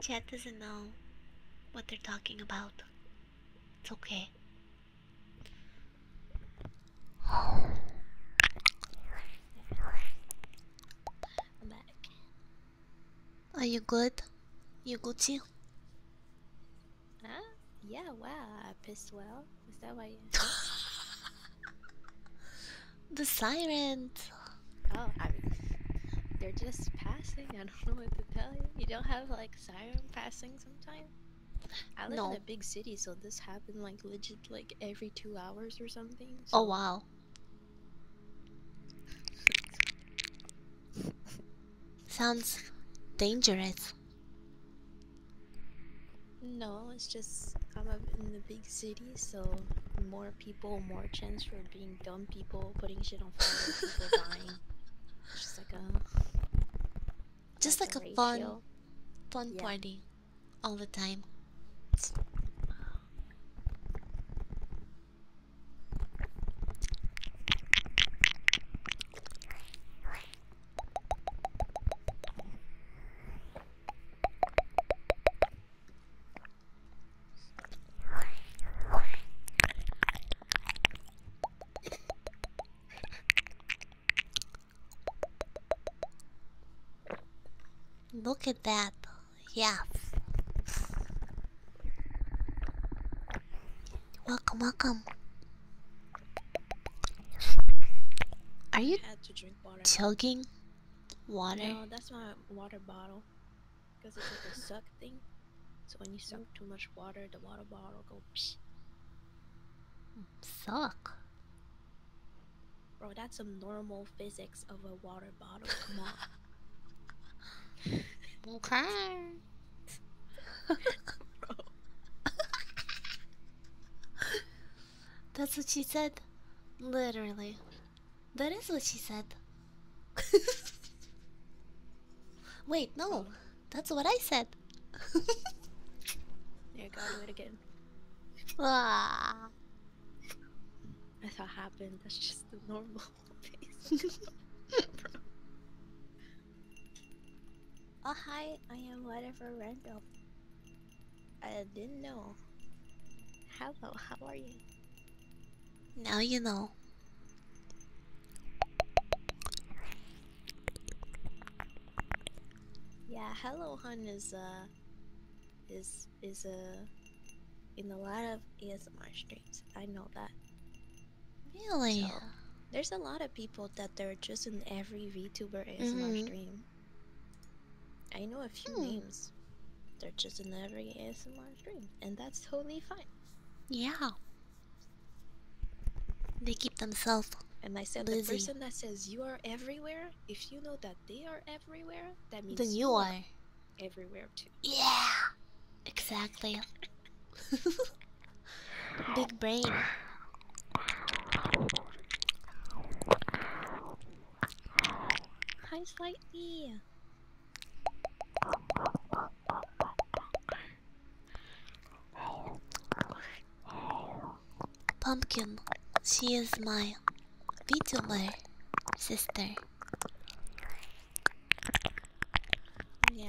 Chad doesn't know what they're talking about. It's okay. I'm back. Are you good? You Gucci? Huh? Yeah, wow, I pissed well. Is that why you The sirens. Oh, I mean, they're just passing. I don't know what to tell you. You don't have like siren passing sometimes. I live in a big city, so this happened like legit like every two hours or something. Oh wow. Sounds dangerous. No, it's just I'm up in the big city, so more people, more chance for being dumb people, putting shit on fire, people dying. just like a just like, a, fun fun party all the time. Look at that. Yeah. Welcome, welcome. Are you chugging? Water? No, that's my water bottle. Because it's like a suck thing. So when you suck too much water, the water bottle go psh. Suck. Bro, that's some normal physics of a water bottle. Come on. okay. that's what she said. Literally. That is what she said. Wait, no. That's what I said. there you go, do it again. Ah. That's what happened. That's just the normal face. oh, hi. I am whatever random. I didn't know. Hello, how are you? Now you know. Yeah, Hello Hun is a uh, is is a uh, in a lot of ASMR streams. I know that. Really? there's a lot of people that they're just in every VTuber ASMR mm -hmm. stream. I know a few hmm. names. They're just in every ASMR stream, and that's totally fine. Yeah. They keep themselves. And I said the person that says you are everywhere, if you know that they are everywhere, that means you are everywhere too. Yeah. Exactly. Big brain. Hi, Slightly. Pumpkin, she is my VTuber sister. Yeah.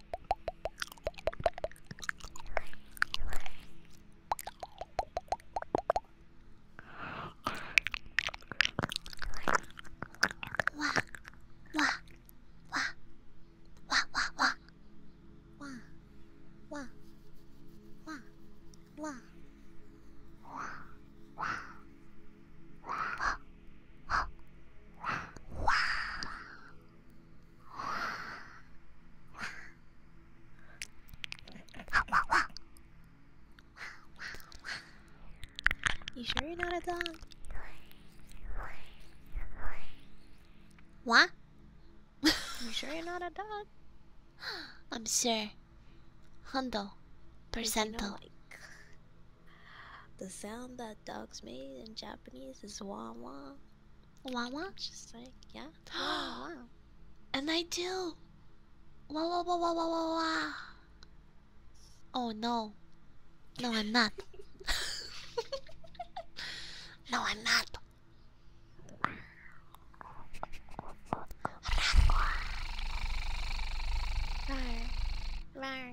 哇哇哇哇哇哇！哇哇哇哇哇 You sure you're not a dog? What? you sure you're not a dog? I'm sure. Hundo. Percento. The sound that dogs made in Japanese is wah wah. Wah wah? Just like, yeah. Wah, wah. And I do! Wah wah wah wah wah wah wah! Oh no. No, I'm not. no, I'm not. Rar. Rar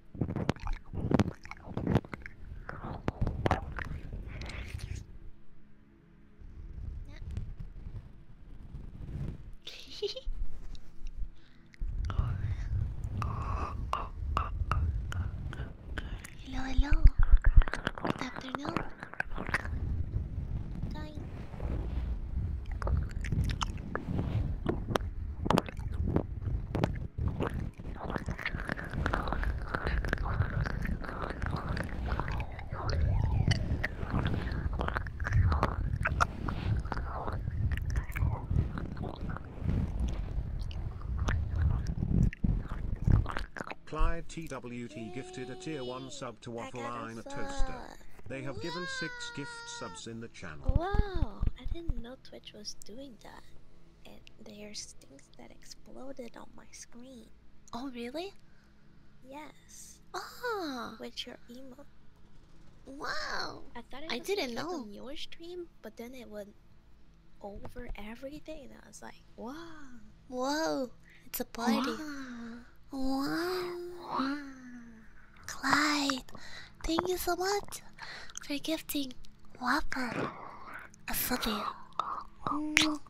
hello, hello. Good afternoon. Hi. Clyde TWT gifted a tier 1 sub to Waffle Iron a Toaster. They have given 6 gift subs in the channel. Wow, I didn't know Twitch was doing that and there's things that exploded on my screen. Oh really? Yes. Ah, with your email. Wow. I thought I didn't know your stream, but then it would over everything. I was like, wow. Whoa, it's a party. wow. wow. Clyde, thank you so much for gifting Wappa. I love you.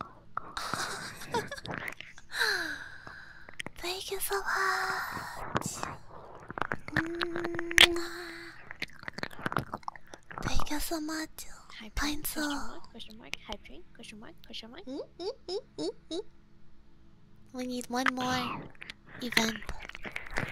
Thank you so much. Thank you so much. Hi, Pinzo. Question mark, hydrate, question mark, question mark. Mm, mm, mm, we need one more event.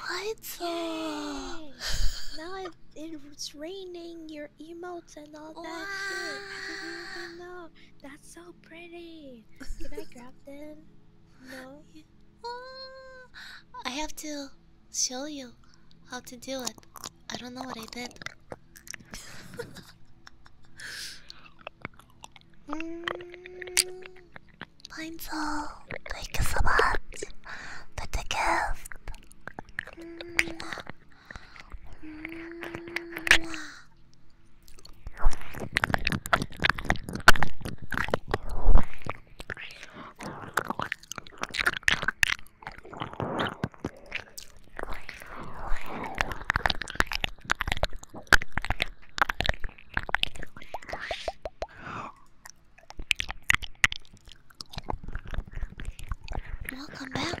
What? now it, it's raining your emotes and all that shit. I didn't even know. That's so pretty. Can I grab them? No. I have to show you how to do it. I don't know what I did. Mm, Pinzel, thank you so much for the gift. Welcome back.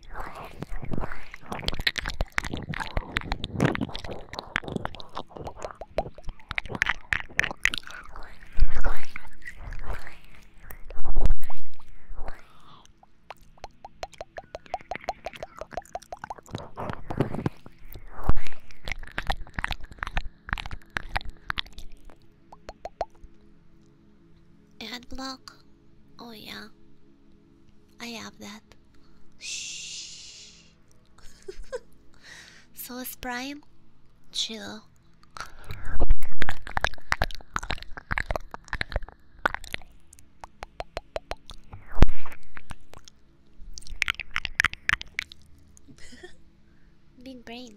Ad block? Oh, yeah. I have that. Shh. so is Prime. Chill. Big brain.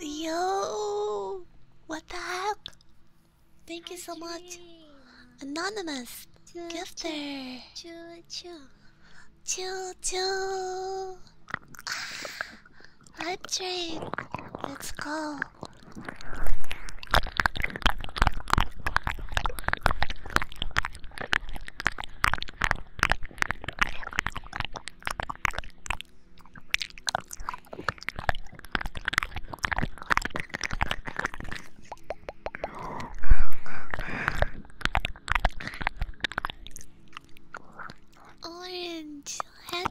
Yo, what the heck? Thank you so much, anonymous choo, gifter. Choo choo, choo choo. Hot drink. Let's go. Orange, had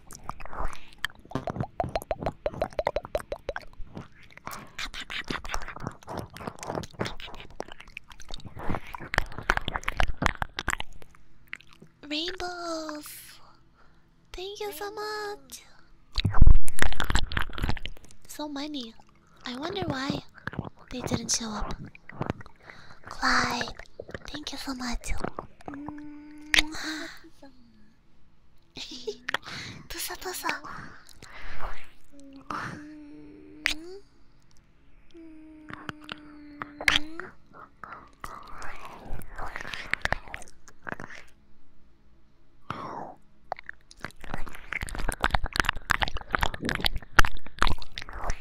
Rainbows, thank you so much. So many. I wonder why they didn't show up. Clyde, thank you so much. Tusa tusa.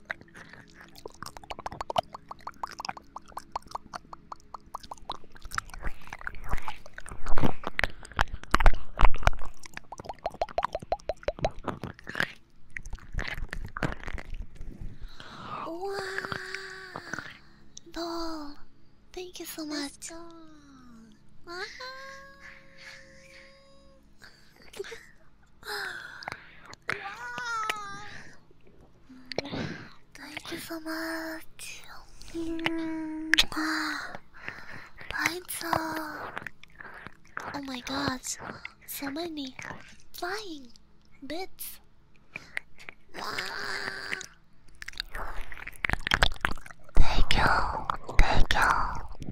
Wow. Thank you so much. Wow. Thank you so much. Lights mm-hmm. up. Oh my god, so many flying bits. Thank you, thank you.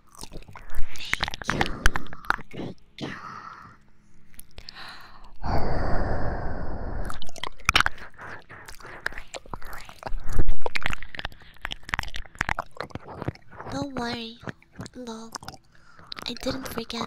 Thank you. Thank you. Don't worry, no, I didn't forget.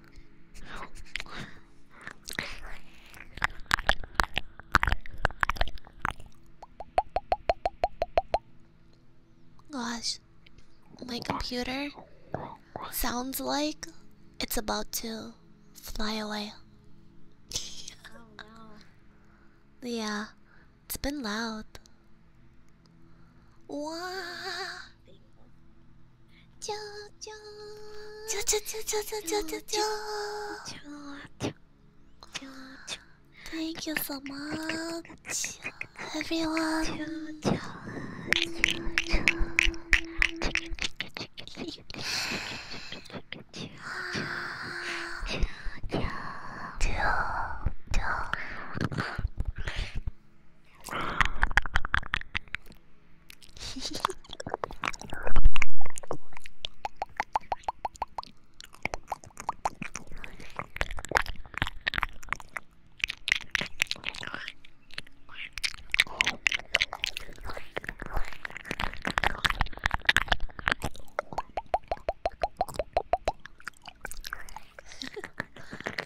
Gosh, my computer sounds like it's about to fly away. Yeah, it's been loud. Wow. Thank you so much, everyone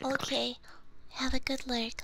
okay, have a good look.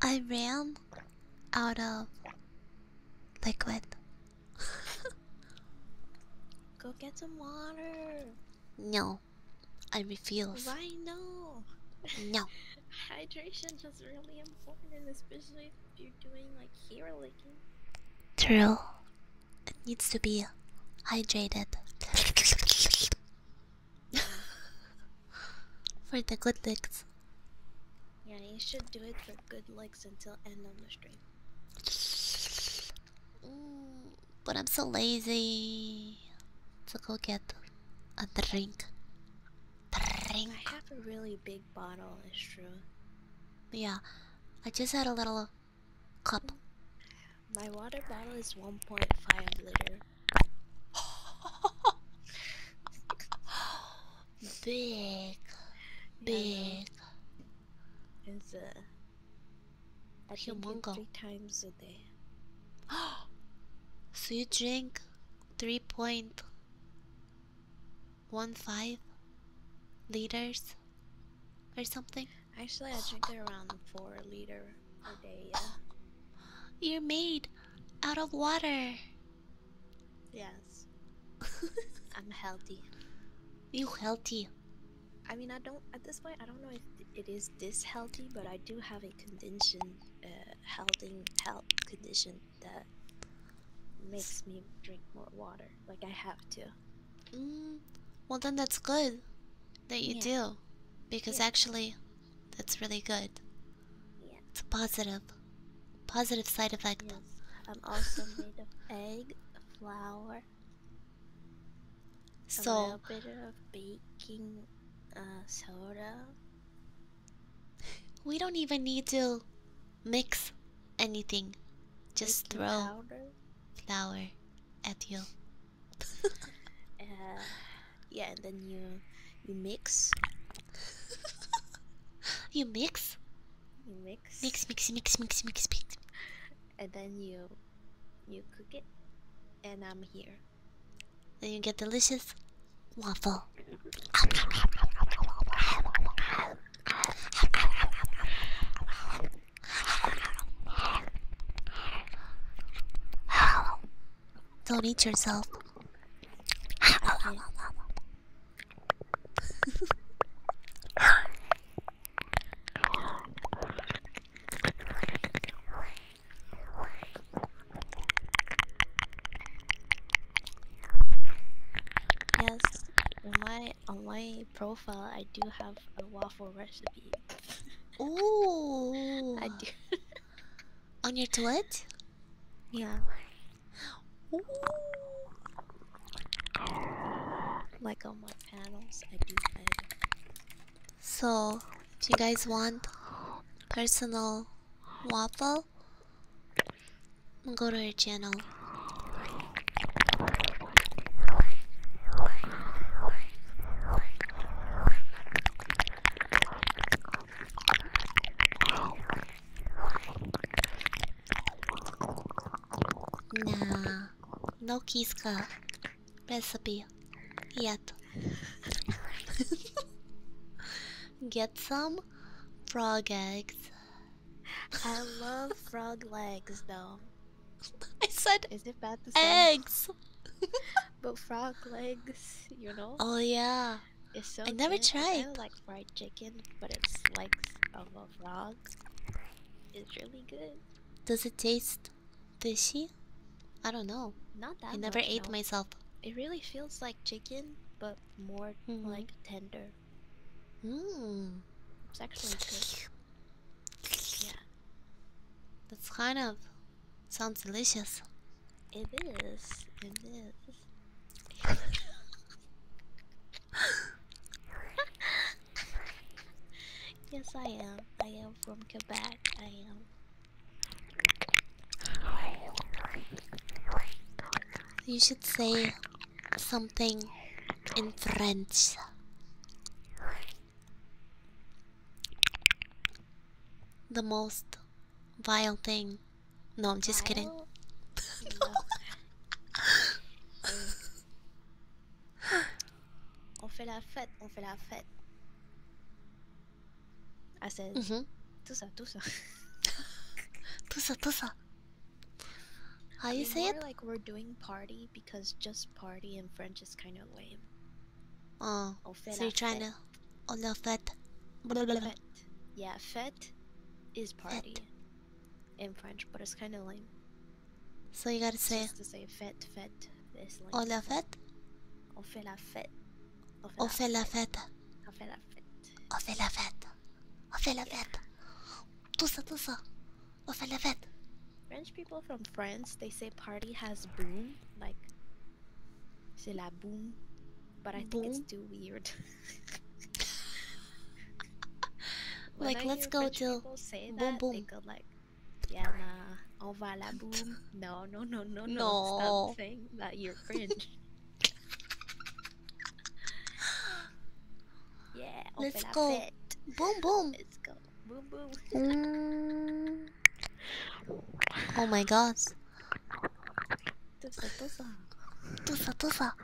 I ran out of liquid. Go get some water. No, I refuse. Why no? No. Hydration is really important, especially if you're doing like hair licking. True. It needs to be hydrated. for the good licks. Yeah, you should do it for good licks until end of the stream. Mm, but I'm so lazy to go get a drink. Drink. I have a really big bottle, it's true. Yeah, I just had a little cup. My water bottle is 1.5 liter. big, big. Yeah, it's Humongous. Three times today. so you drink 3.15 liters or something? Actually, I drink around 4 liter a day, You're made out of water. Yes. I'm healthy. You healthy. I mean, I don't at this point. I don't know if it is this healthy, but I do have a condition a uh, healthing health condition that makes me drink more water. Like I have to. Mm, well, then that's good that you do, because actually, that's really good. It's a positive, positive side effect. Yes. I'm also made of egg, flour, so a little bit of baking uh, soda. we don't even need to mix anything. Just baking throw powder? flour at you. uh, yeah, and then you you mix. you mix. You mix. Mix, mix, mix, mix, mix, mix. And then you you cook it, and I'm here. Then you get delicious waffle. Don't eat yourself. Yes, on my on my profile, I do have a waffle recipe. Ooh, I do. on your toilet? Yeah. Ooh. Like on my panels, I do. I so, if you guys want personal waffle, go to her channel. Nah, no kiss recipe yet. Get some frog eggs. I love frog legs though. I said Is it bad to say? eggs. but frog legs, you know? Oh yeah. I never tried. I like fried chicken, but it's legs of a frog. It's really good. Does it taste does she? I don't know. Not that I never ate myself. It really feels like chicken, but more mm-hmm. like tender. Mmm. It's actually good. Yeah. That's kind of sounds delicious. It is. It is. yes, I am. I am from Quebec. I am. You should say something in French. The most vile thing. No, I'm just kidding. On fait la fête, on fait la fête. I said, Tusa, tusa. tusa, tusa. How you I mean, say it? like we're doing party because just party in French is kind of lame. Oh, ah, fait so you're trying to... Oh, la fête. Blah, blah, Fête. Yeah, fête is party in French, but it's kind of lame. So you gotta say... Just to say fête, fête is lame. Oh, la fête? On fait la fête. On fait fête. On fait fête. On fait fête. On fait fête. Tout ça, tout ça. On fait fête. French people from France, they say party has boom, like c'est la boom, but I think it's too weird. like, let's go French to boom boom. yeah, nah, on va la boom. No, no, no, no, no. no. Stop saying that you're cringe. yeah, open Let's up go. It. Boom, boom. Let's go. Boom, boom. mm. Oh my gosh. Tusa, tusa. Tusa, tusa.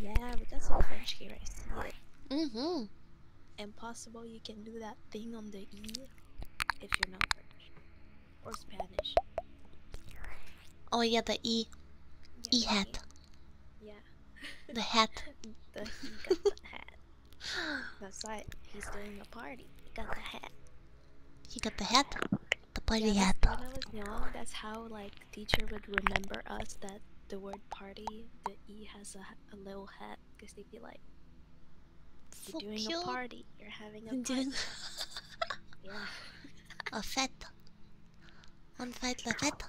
Yeah, we got some French here, I Mm-hmm. Impossible you can do that thing on the E if you're not French. Or Spanish. Oh yeah, the E. E hat. Yeah. The hat. the hat. That's right. He's doing a party. He got the hat. He got the hat. The party hat. When I was young, that's how like teacher would remember us that the word party, the e has a, a little hat, because they'd be like, "You're doing a party. You're having a party." yeah. A fête. On fête the fête.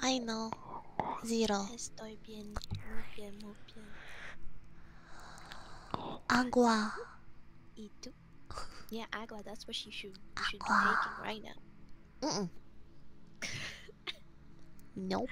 I know zero. Estoy bien, muy bien, muy bien. Agua. Yeah, agua. That's what she should, be taking right now. Mm no.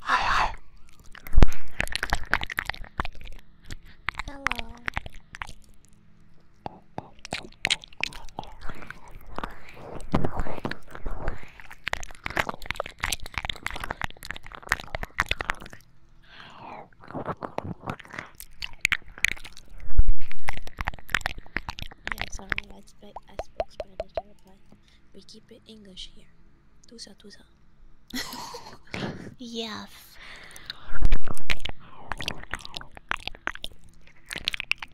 Hi, hi. Hello. Yeah, sorry, I spoke, I spoke Spanish to reply. We keep it English here. Tusa tusa. yes.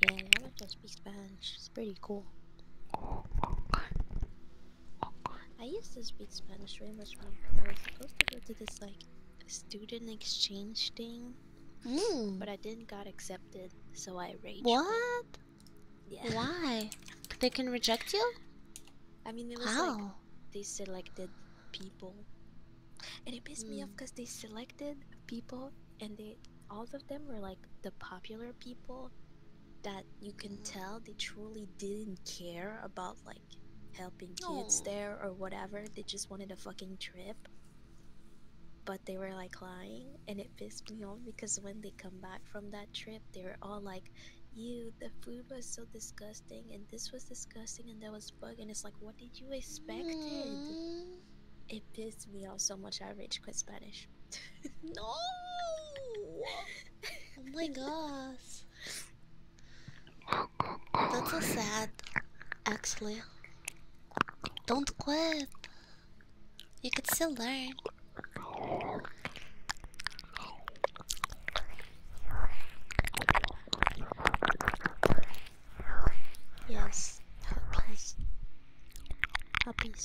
Yeah, I like to speak Spanish. It's pretty cool. I used to speak Spanish very much when I was supposed to go to this like student exchange thing, mm. but I didn't got accepted, so I raged. What? Why? They can reject you? I mean, it like they selected people, and it pissed me off because hmm. they selected people, and they all of them were like the popular people that you can mm-hmm. tell they truly didn't care about like helping kids there or whatever. They just wanted a fucking trip but they were like lying and it pissed me off because when they come back from that trip they were all like you the food was so disgusting and this was disgusting and that was bug and it's like what did you expect mm. it pissed me off so much i reached quit spanish no oh my gosh that's so sad actually don't quit you could still learn. Yes, puppies. Puppies.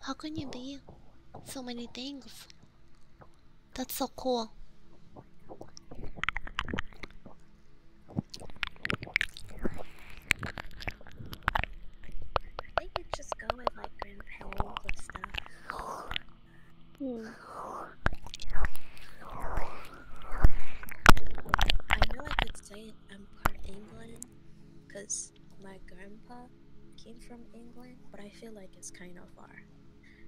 How can you be so many things? That's so cool. I think you just go with like grandparents and stuff. Hmm. I know I could say I'm part English, because my grandpa came from England, but I feel like it's kind of far,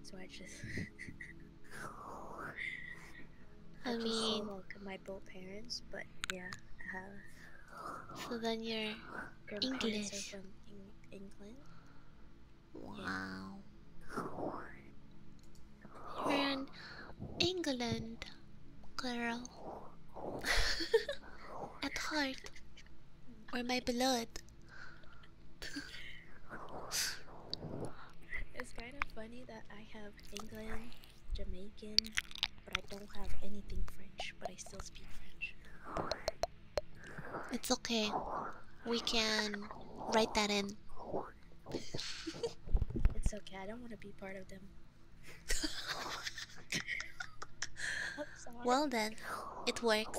so I just. I, mean, just my both parents, but yeah, So then you're English. England. Wow. Yeah. England girl. At heart. Or my blood. it's kind of funny that I have England, Jamaican, but I don't have anything French, but I still speak French. It's okay. We can write that in. it's okay, I don't want to be part of them well then, it works.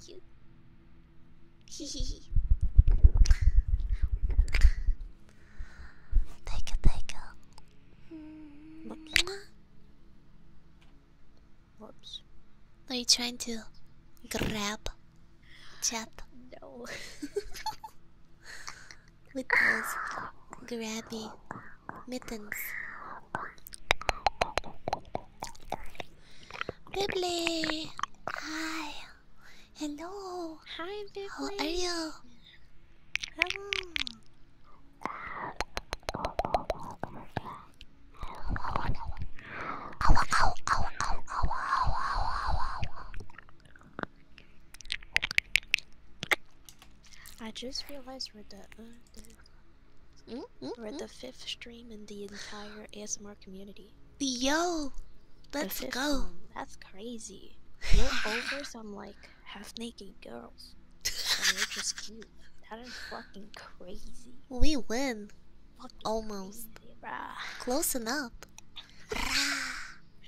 Cute. Cute. take it, take it. Whoops. Are you trying to grab chat? No. with those grabby mittens. Bibbly! Hi! Hello! Hi, Bibbly! How are you? Hello! I just realized we're the, uh, mm-hmm. we're the fifth stream in the entire ASMR community. Yo, let's go. That's crazy. You're over some like half-naked girls, and you're just cute. That is fucking crazy. We win. Almost. Close enough.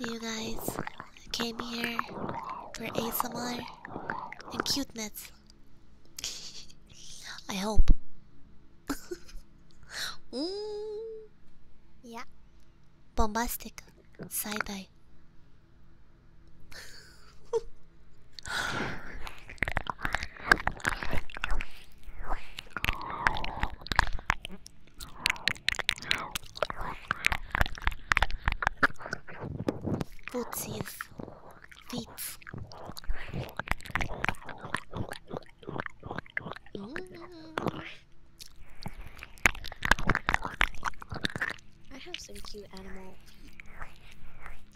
You guys came here for ASMR and cuteness. I hope. Yeah. Bombastic. Side eye. Bootsies.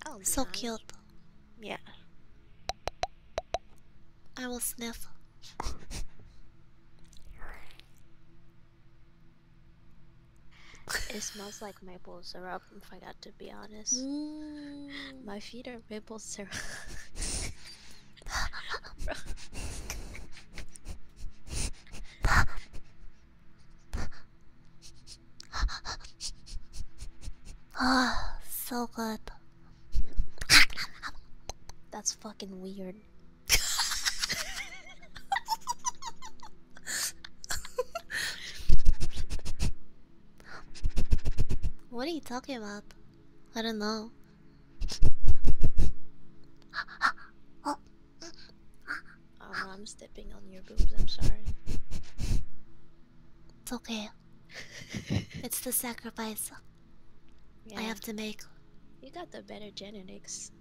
Oh, so cute. Yeah. I will sniff. it smells like maple syrup if I got to be honest. Mm. My feet are maple syrup. Ah, so good. That's fucking weird. what are you talking about? I don't know. oh, I'm stepping on your boobs, I'm sorry. It's okay. it's the sacrifice I have to make. You got the better genetics.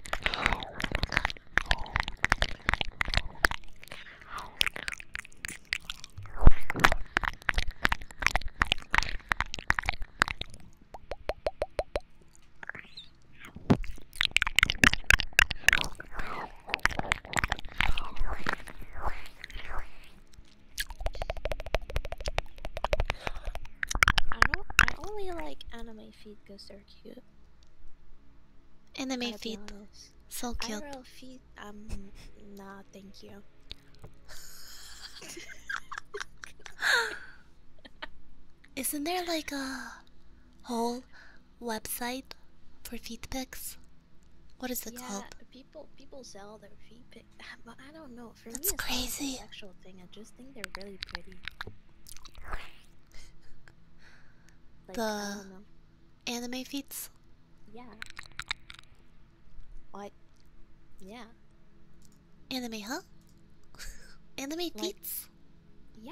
I don't I only like anime feet because they're cute. Anime feet, so cute. IRL feet, um, nah, thank you. Isn't there like a whole website for feet pics? What is it yeah, called? People people sell their feet pics, I don't know. For That's it's crazy. sexual thing. I just think they're really pretty the anime feats? Yeah. What? Yeah. Anime, huh? anime like, feats? Yeah.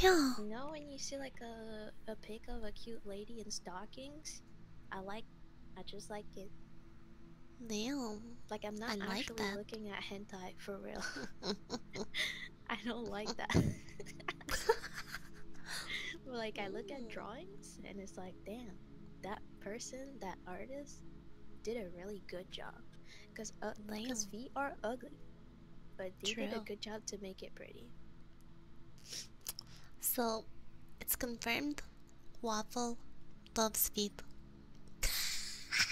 Yeah. You know when you see like a a pic of a cute lady in stockings? I like I just like it. Damn. Like I'm not actually looking at hentai for real. I don't like that. But like I look at drawings and it's like, damn, that person, that artist, did a really good job. Cause uh, cause feet are ugly, but they did a good job to make it pretty. So, it's confirmed. Waffle loves feet.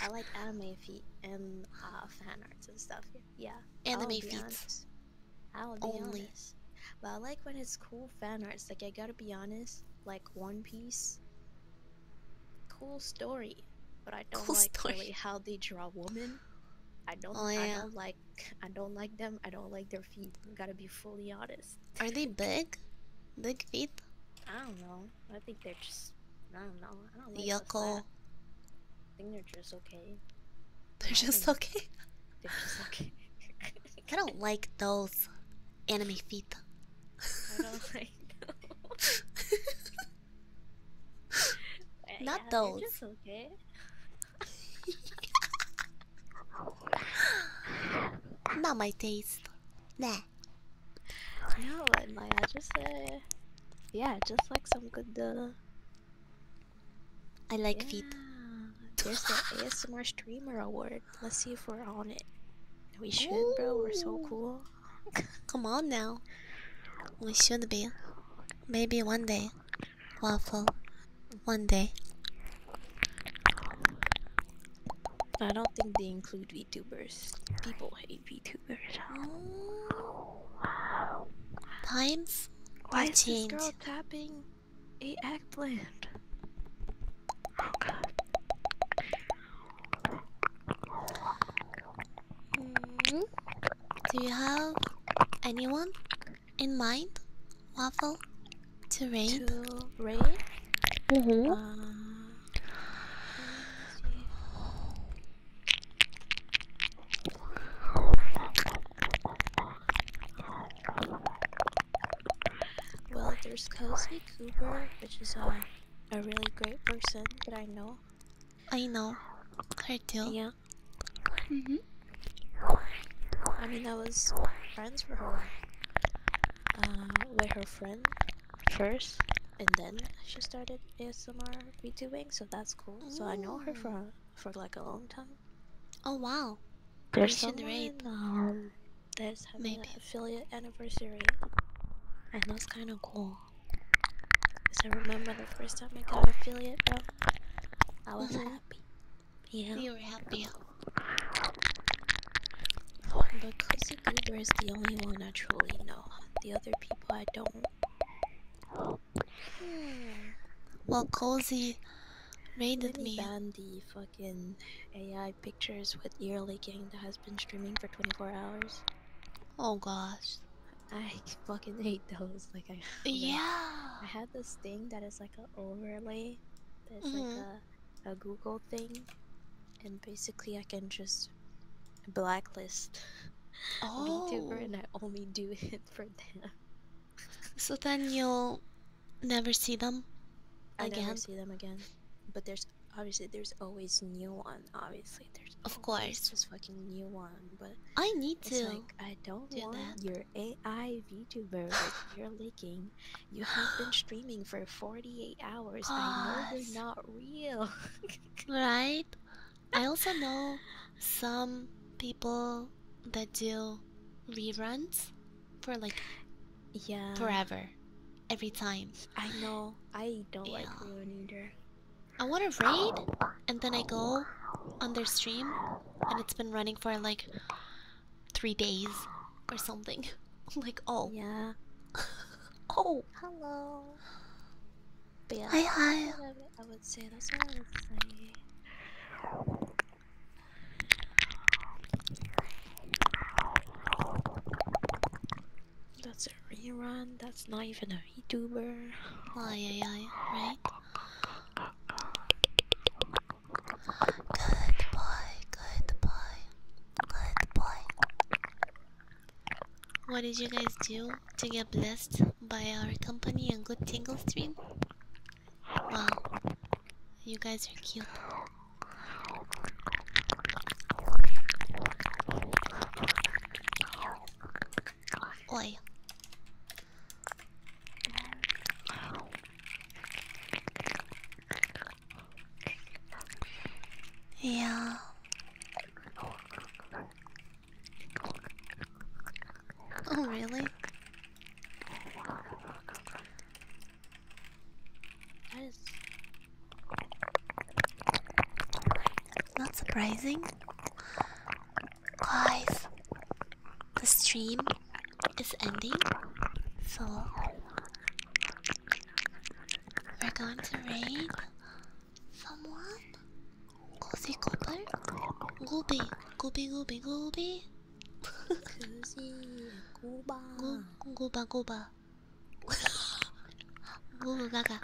I like anime feet and uh, fan arts and stuff. Yeah. Anime feet. I will be Only. honest. But I like when it's cool fan arts. Like I gotta be honest, like One Piece. Cool story, but I don't like how they draw women. I don't. Oh, yeah. I don't like. I don't like them. I don't like their feet. gotta be fully honest. Are they big? Big feet? I don't know. I think they're just. I don't know. I don't like Yuckle. I think they're just okay. They're just okay. they're just okay. I don't like those anime feet. I don't like those. Not those. okay. Not my taste. Nah yeah, but just uh, yeah, just like some good. Uh, I like yeah. feet. There's the ASMR Streamer Award. Let's see if we're on it. We should, bro. We're so cool. Come on now. We should be. Maybe one day. Waffle. One day. I don't think they include VTubers. People hate VTubers. Oh. Times Why is this girl tapping a eggplant? Do you have anyone in mind? Waffle? To raid? Mm-hmm. Uh, well, there's Kelsey Cooper, which is uh, a really great person that I know. I know her too. Yeah. hmm I mean, I was friends with her, uh, with her friend first and then she started ASMR VTubing, so that's cool. So I know her for oh. for like a long time. Oh wow. There's someone um, that's Maybe. affiliate anniversary. And that's kinda cool. Cause I remember the first time I got affiliate bro. I was mm happy. Yeah. You were happy. Justin is the only one I truly know. The other people I don't. Hmm. Well, Cozy raided really me. Ban the fucking AI pictures with ear leaking that has been streaming for 24 hours. Oh gosh. I fucking hate those. Like I yeah. I have this thing that is like an overlay. That's like mm-hmm. a a Google thing, and basically I can just just blacklist oh. VTuber and I only do it for them. so then you'll never see them again. I never see them again. But there's obviously there's always new one. Obviously there's of course just fucking new one. But I need to. Like, I don't want your AI VTuber that you're leaking. You have been streaming for 48 hours. I know they are not real. right? I also know some people that do reruns for like yeah forever every time i know i don't like rerun either i want to raid and then i go on their stream and it's been running for like three days or something i'm like oh yeah Oh, hello. hi, hi. I would say that's what I That's a rerun. That's not even a VTuber. Oh yeah, yeah, right. Good boy, good what did you guys do to get blessed by our company and good tingle stream? Wow, you guys are cute. Oi. Yeah, Oh, really? That is not surprising. Guys, the stream is ending, so we're going to raid Someone? Cozy couple? Gooby, gooby, gooby, gooby. Cozy, gooba. Go, gooba, gooba. Gooba gaga.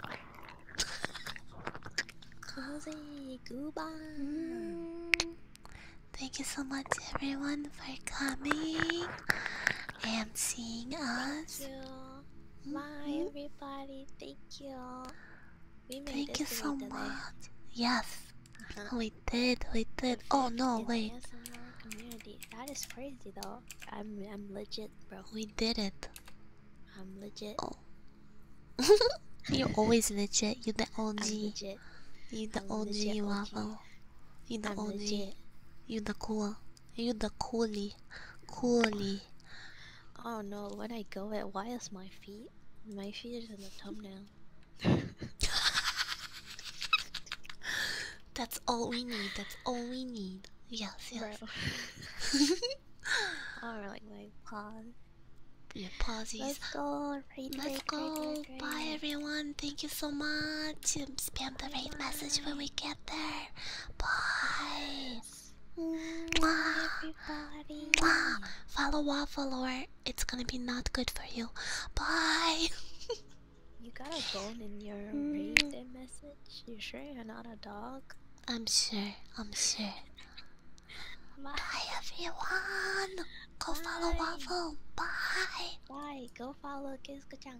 Cozy, gooba. Mm. Thank you so much, everyone, for coming and seeing us. Bye, everybody. Thank you. We Thank you so much. Yes, uh-huh. we did. We did. Oh no, wait. That is crazy, though. I'm I'm legit, bro. We did it. I'm legit. Oh. You're always legit. you the OG. You're the i OG, You're the I'm OG. You're the cool. You the coolie, coolie. Oh no! When I go it, why is my feet? My feet is in the thumbnail. That's all we need. That's all we need. Yes, yes. or like my paws. Your pawsies. Let's go. Let's go. Bye everyone. Thank you so much. To Spam the rate message when we get there. Bye guys. Follow waffle or it's gonna be not good for you. Bye. you got a bone in your hmm. raised message. You sure you're not a dog? I'm sure. I'm sure. Bye, everyone. Go follow waffle. Bye. Bye. Go follow kizuko